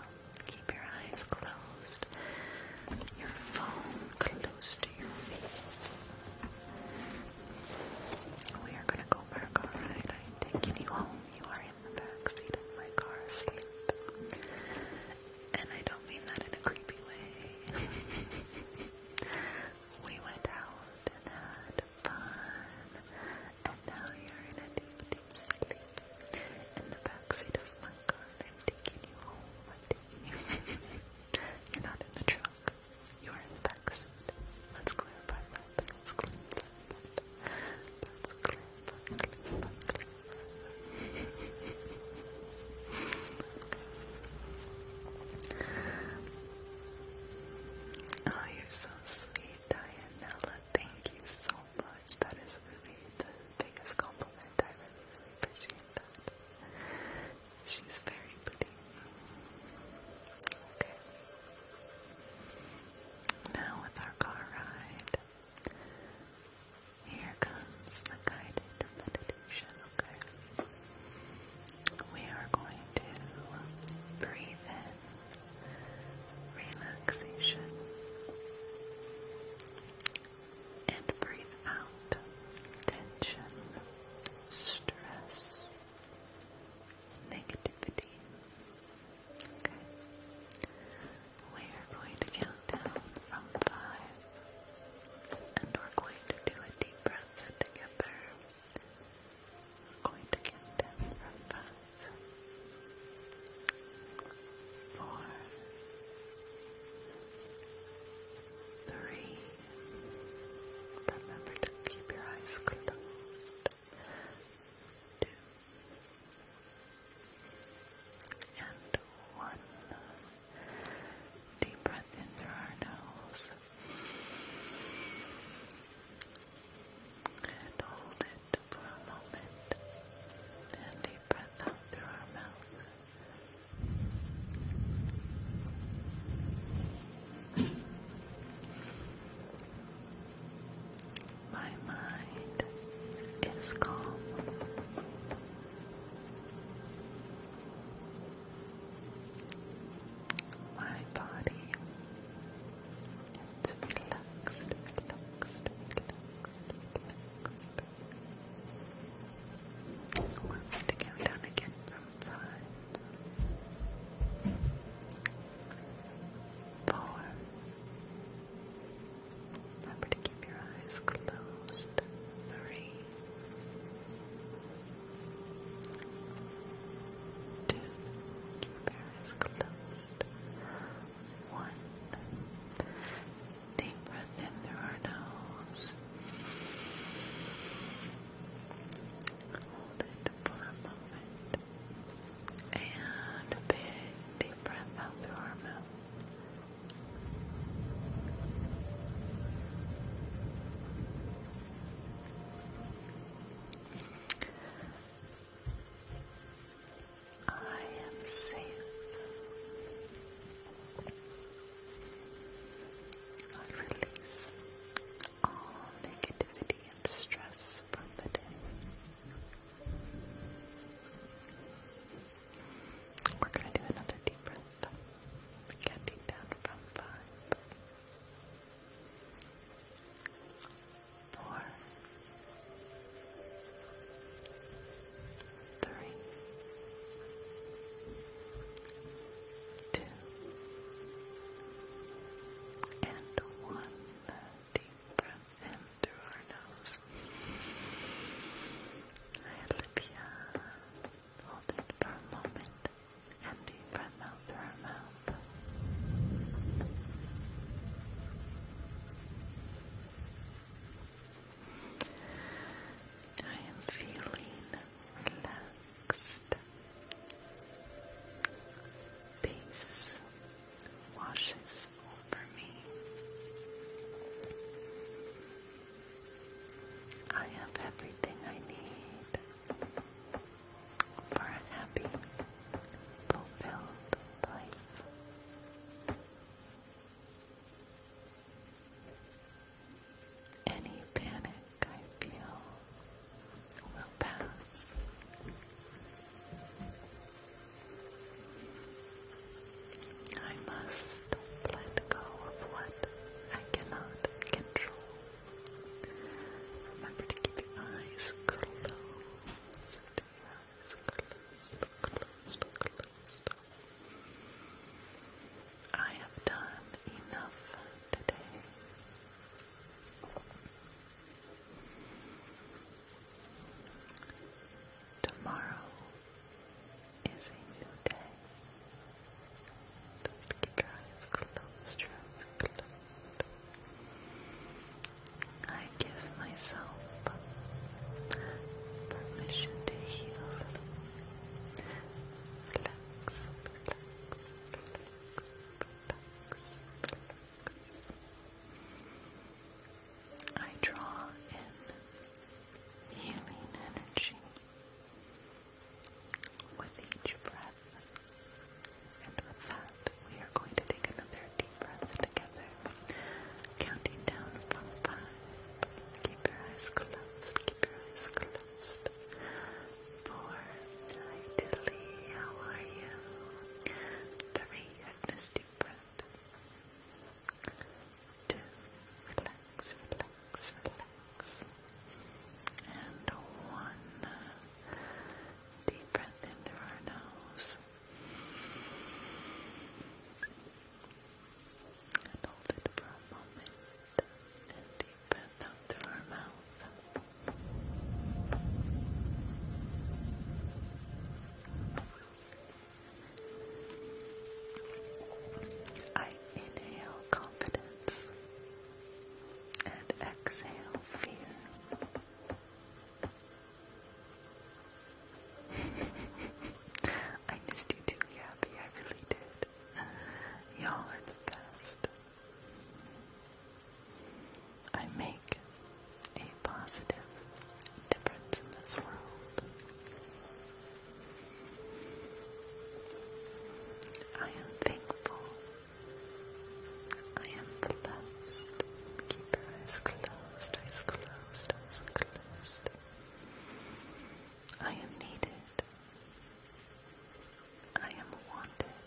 S1: Keep your eyes closed. Your phone close to your face. We are gonna go back, alright? I'm taking you home. You are in the backseat of my car asleep. And I don't mean that in a creepy way. we went out and had fun, and now you're in a deep, deep sleep in the backseat of my car. taking you home. you. are not in the trunk. You are in the backseat. Let's clarify that. Let's clarify Let's clarify Oh, you're so sweet, Dianella. Thank you so much. That is really the biggest compliment. I really, really appreciate that. She's very pretty. Okay. Now with our car ride, here comes the guided meditation, okay? We are going to breathe in relaxation and breathe out tension, stress, negativity. Okay. We are going to count down from five, and we're going to do a deep breath together. going to count down from five, four, three. Remember to keep your eyes closed. Two. And one. Deep breath in through our nose. And hold it for a moment. And deep breath out through our mouth. My mind is calm. My body is relaxed, relaxed, relaxed, relaxed. We're to go down again from five. Four. Remember to keep your eyes closed. Three, two, keep your eyes closed. One, deep breath in through our nose. Hold it for a moment. And a big deep breath out through our mouth. I am safe. I release all negativity and stress from the day. We're going to do another deep breath. Counting down from five. And one. Deep breath in through our nose. I had Libya hold it for a moment, empty breath through her mouth. I am feeling relaxed. Peace washes for me. I have everything I need for a happy, fulfilled life. Any panic I feel will pass. I must let go of what I cannot control. Remember to keep your eyes closed. Your eyes closed, closed, closed. I have done enough today. Tomorrow is a new day. Just keep eyes closed, your I give myself permission to heal. Relax, I draw in healing energy with each breath. And with that, we are going to take another deep breath together, counting down from five. Keep your eyes closed, keep your eyes closed. Four, hi Tilly, how are you? Three, I missed you, Brent to relax, relax, relax. And one deep breath in through our nose. And hold it for a moment. And deep breath out through our mouth. I inhale confidence and exhale fear. I missed you too, Gabby. I really did. Y'all are the best. I make a positive difference in this world. I am thankful. I am blessed. Keep your eyes closed, eyes closed, eyes closed. I am needed. I am wanted.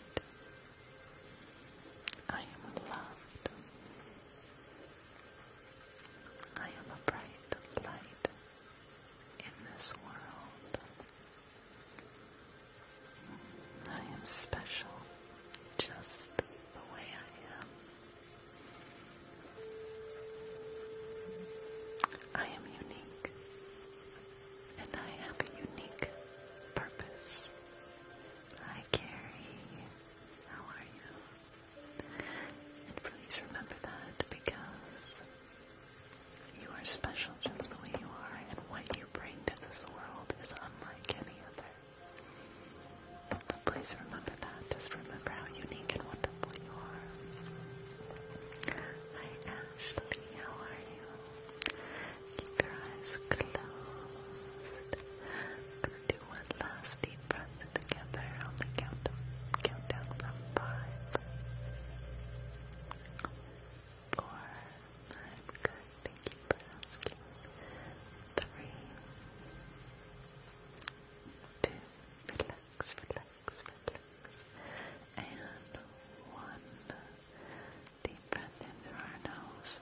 S1: I am loved. I am a bright light in this world. I am special just the way I am. I am unique, and I have a unique purpose. I carry. How are you? And please remember that because you are special just the way you are, and what you bring to this world is unlike any other. please remember that. Just remember how unique and wonderful you are. Hi Ashley, how are you? Keep your eyes closed one last deep breath together on the count countdown from five. Four, I'm good, thank you asking. Three, two, relax, relax, relax. And one, deep breath in our nose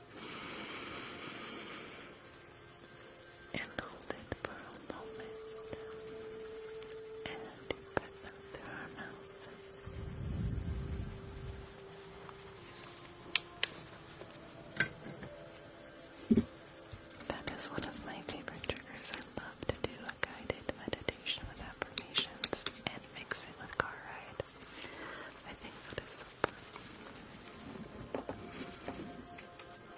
S1: and hold it for a moment and put them through our mouth. That is one of my favorite triggers. I love to do a guided meditation with affirmations and mix it with car ride. I think that is so fun. Okay.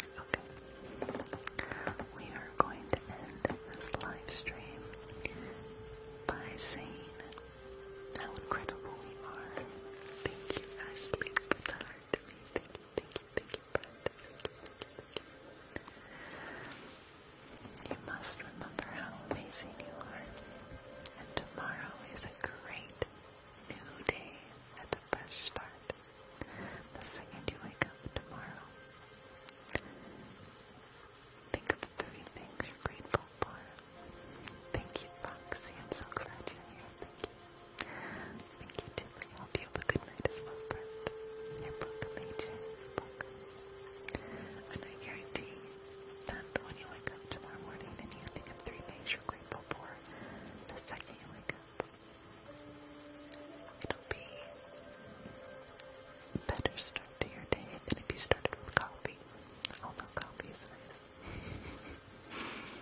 S1: We are going to end this live stream by saying how incredible we are. Thank you, Ashley, for the me. Thank you, thank you, thank you, Brent. Thank you, thank you, thank you. You must remember how amazing you are. And tomorrow is a great new day and a fresh start the second you wake up tomorrow. Think of three things you're grateful for. Thank you, Foxy. I'm so glad you're here. Thank you. Thank you, Tilly. have a good night as well, Bert. You're welcome, AJ. You're welcome. And when you wake up tomorrow morning and you think of three things you're grateful for, the second you wake up, It'll be a better start to your day than if you started with coffee. Although coffee is nice.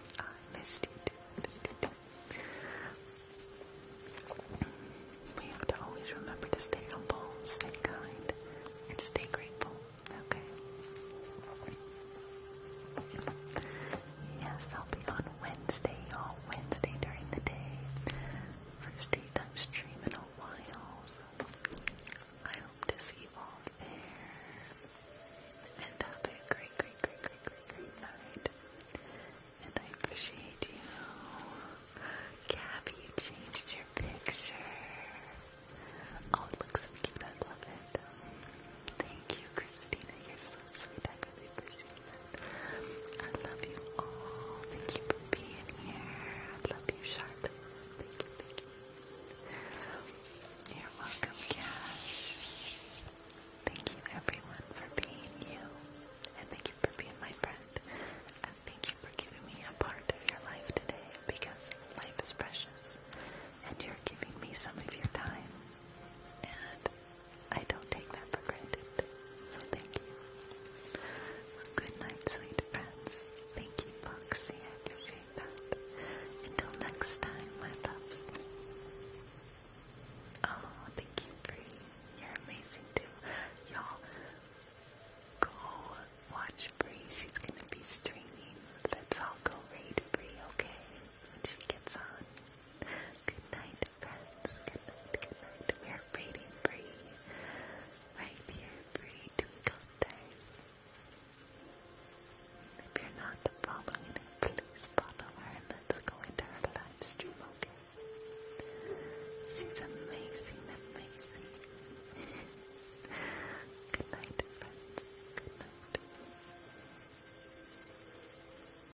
S1: I We have to always remember to stay humble, stay kind, and stay grateful. Okay. Yes, I'll be on Wednesday, all Wednesday during the day. First date I'm streaming a while, so I hope to see you all there. And have a great, great, great, great, great, great night. And I appreciate you. Gabby, you changed your picture. Oh, it looks so cute. I love it. Thank you, Christina. You're so sweet. I love you all. Thank you for being here. I love you, Sharp. Thank you, you. are welcome, Cash. Thank you, everyone, for being you. And thank you for being my friend. And thank you for giving me a part of your life today because life is precious. And you're giving me some of your time. And I don't take that for granted. So thank you. Good night, sweet friends. Thank you, Foxy. I appreciate that. Until next time, my loves. Oh, thank you, Bree. You're amazing too. Y'all go watch Bree. She's gonna be streaming. Let's all go raid Bree, okay? When she gets on. Good night, friends. Good We are waiting for you. Right here for you to go stars. If you're not following it, please follow her let's go into her live okay? She's amazing, amazing. good night, friends.